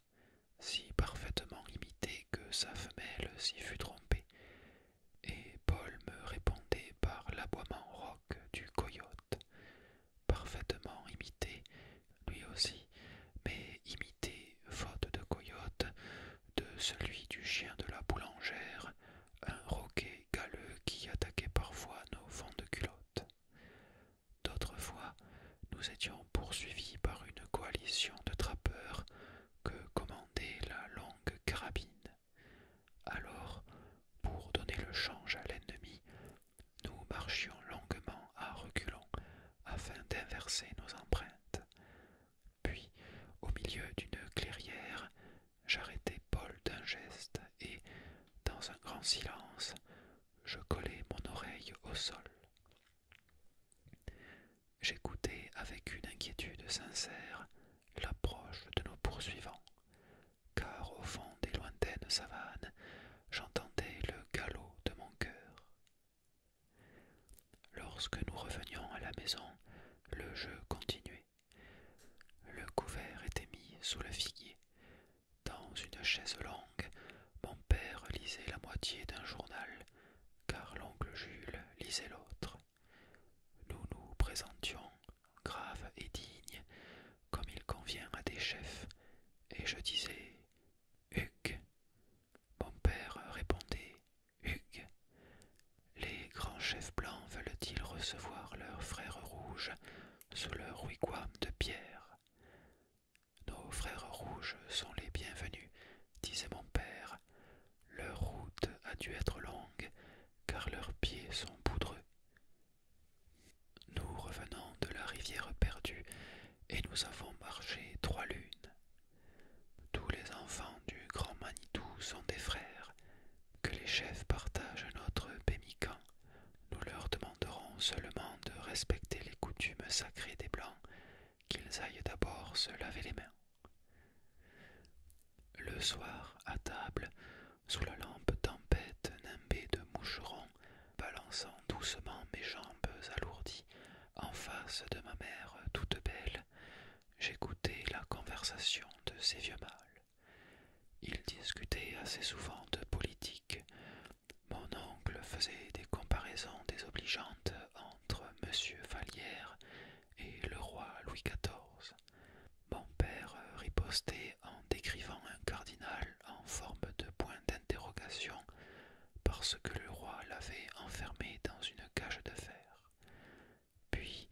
si parfaitement imité que sa femelle s'y fut trompée, et Paul me répondait par l'aboiement roc du coyote, parfaitement imité, lui aussi mais imité, faute de coyote, de celui du chien de la boulangère, un roquet galeux qui attaquait parfois nos fonds de culotte. D'autres fois, nous étions poursuivis par une coalition de trappeurs que commandait la longue carabine. Alors, pour donner le change à l'ennemi, nous marchions longuement à reculons afin d'inverser nos empreintes. Puis, au milieu d'une clairière, j'arrêtai Paul d'un geste et, dans un grand silence, je collai mon oreille au sol. J'écoutais avec une inquiétude sincère l'approche de nos poursuivants, car au fond des lointaines savanes, j'entendais le galop de mon cœur. Lorsque nous revenions à la maison, le jeu continuait. Le couvert était mis sous le figuier. Dans une chaise longue, mon père lisait la moitié d'un journal, car l'oncle Jules lisait l'autre. Nous nous présentions, graves et dignes, comme il convient à des chefs, et je disais Hugues. Mon père répondait Hugues. Les grands chefs blancs veulent-ils recevoir leurs frères rouges sous leur wigwam de pierre Nos frères rouges sont les bienvenus, disait mon père. Leur route a dû être longue, car leurs pieds sont poudreux. Nous revenons de la rivière perdue et nous avons marché trois lunes. Tous les enfants du Grand Manitou sont des frères, que les chefs partagent notre pémican. Nous leur demanderons seulement de respecter les coutumes sacrées des Blancs, qu'ils aillent d'abord se laver les mains. Le soir, à table, sous la lampe tempête nimbée de moucherons, balançant doucement mes jambes alourdies, en face de ma mère toute belle, j'écoutais la conversation de ces vieux mâles. Ils discutaient assez souvent de politique. Mon oncle faisait des comparaisons désobligeantes entre M. Vallière et le roi Louis XIV. Mon père ripostait en décrivant un cardinal en forme de point d'interrogation parce que le roi l'avait enfermé dans une cage de fer. Puis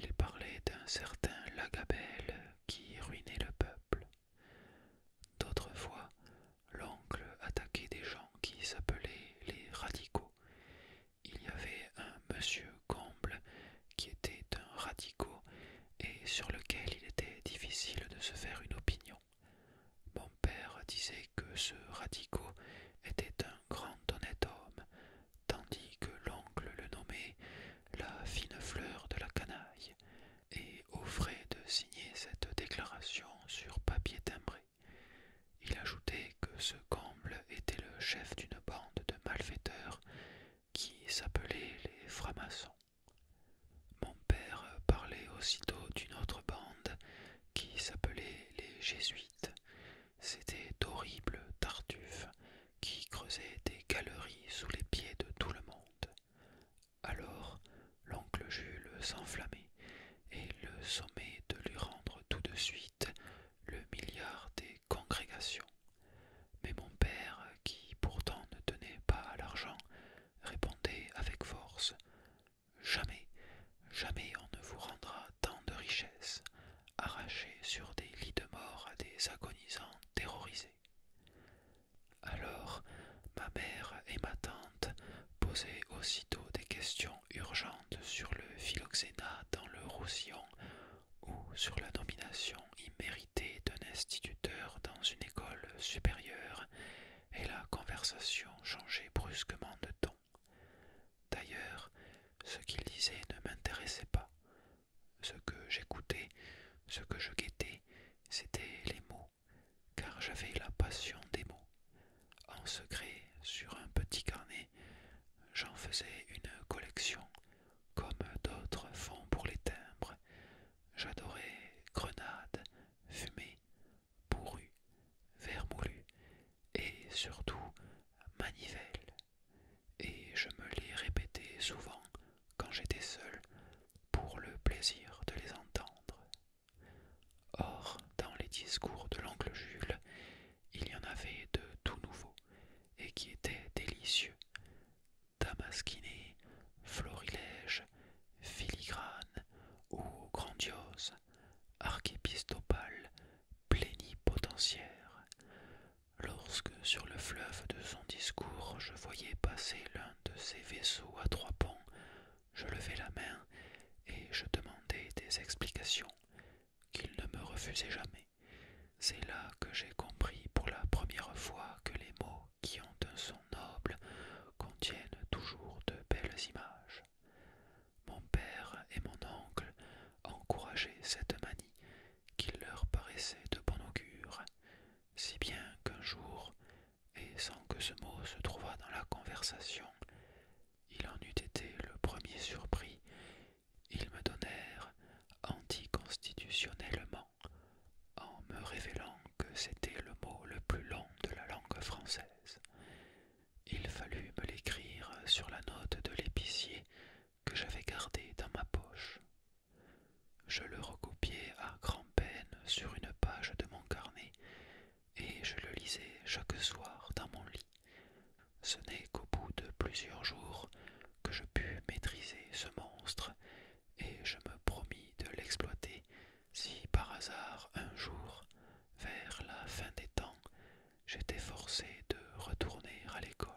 il parlait d'un certain Lagabelle qui ruinait le peuple. D'autres fois, l'oncle attaquait des gens qui s'appelaient les radicaux. Il y avait un monsieur Comble qui était un radicaux et sur lequel il était difficile de se faire une opinion père disait que ce Radico était un grand honnête homme, tandis que l'oncle le nommait la fine fleur de la canaille, et offrait de signer cette déclaration sur papier timbré. Il ajoutait que ce comble était le chef d'une bande de malfaiteurs qui s'appelait les francs Mon père parlait aussitôt d'une autre bande qui s'appelaient les Jésuites. C'était d'horribles tartuffes qui creusaient des galeries sous les pieds de tout le monde. Alors l'oncle Jules s'enflammait et le sommet de lui rendre tout de suite le milliard des congrégations. Mais mon père, qui pourtant ne tenait pas à l'argent, répondait avec force Jamais, jamais on ne vous rendra tant de richesses, arrachées sur des lits de mort à des agonisants terrorisés. Alors ma mère et ma tante posaient aussitôt des questions urgentes sur le phylloxéna dans le Roussillon ou sur la domination imméritée d'un instituteur dans une école supérieure, et la conversation changeait brusquement de ton. D'ailleurs, ce qu'il disait ne m'intéressait pas. Ce que j'écoutais, ce que je guettais, c'était les mots, car j'avais la passion des mots. En secret, sur un petit carnet, j'en faisais une collection, comme d'autres font pour les timbres. J'adorais grenades, fumée, bourru, vermoulu et surtout manivelle. Et je me les répétais souvent quand j'étais seul pour le plaisir de les entendre. Or, dans les discours de l'oncle Jules, il y en avait de tout nouveau et qui étaient délicieux. Damasquinés, florilèges, filigranes ou grandioses, Archépistopale, plénipotentiaire. Lorsque sur le fleuve de son discours je voyais passer l'un de ses vaisseaux à trois ponts, je levai la main et je demandai des explications qu'il ne me refusait jamais. C'est là que j'ai compris pour la première fois que les mots qui ont un son noble contiennent toujours de belles images mon père et mon oncle encourageaient cette manie qui leur paraissait de bon augure, si bien qu'un jour, et sans que ce mot se trouvât dans la conversation, il en eût été le premier surpris, ils me donnèrent anticonstitutionnellement en me révélant que c'était le mot le plus long de la langue française. Il fallut me l'écrire sur la note de l'épicier que j'avais gardée dans ma poche. Je le recopiai à grand-peine sur une page de mon carnet et je le lisais chaque soir dans mon lit. Ce n'est qu'au bout de plusieurs jours que je pus maîtriser ce monstre et je me promis de l'exploiter si par hasard un jour vers la fin des temps, j'étais forcé de retourner à l'école.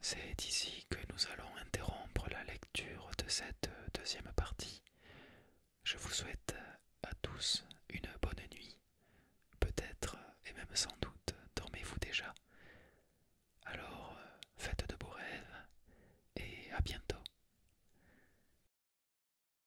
C'est ici que nous allons interrompre la lecture de cette deuxième partie. Je vous souhaite à tous une bonne nuit. Peut-être et même sans doute dormez-vous déjà. Alors faites de beaux rêves et à bientôt.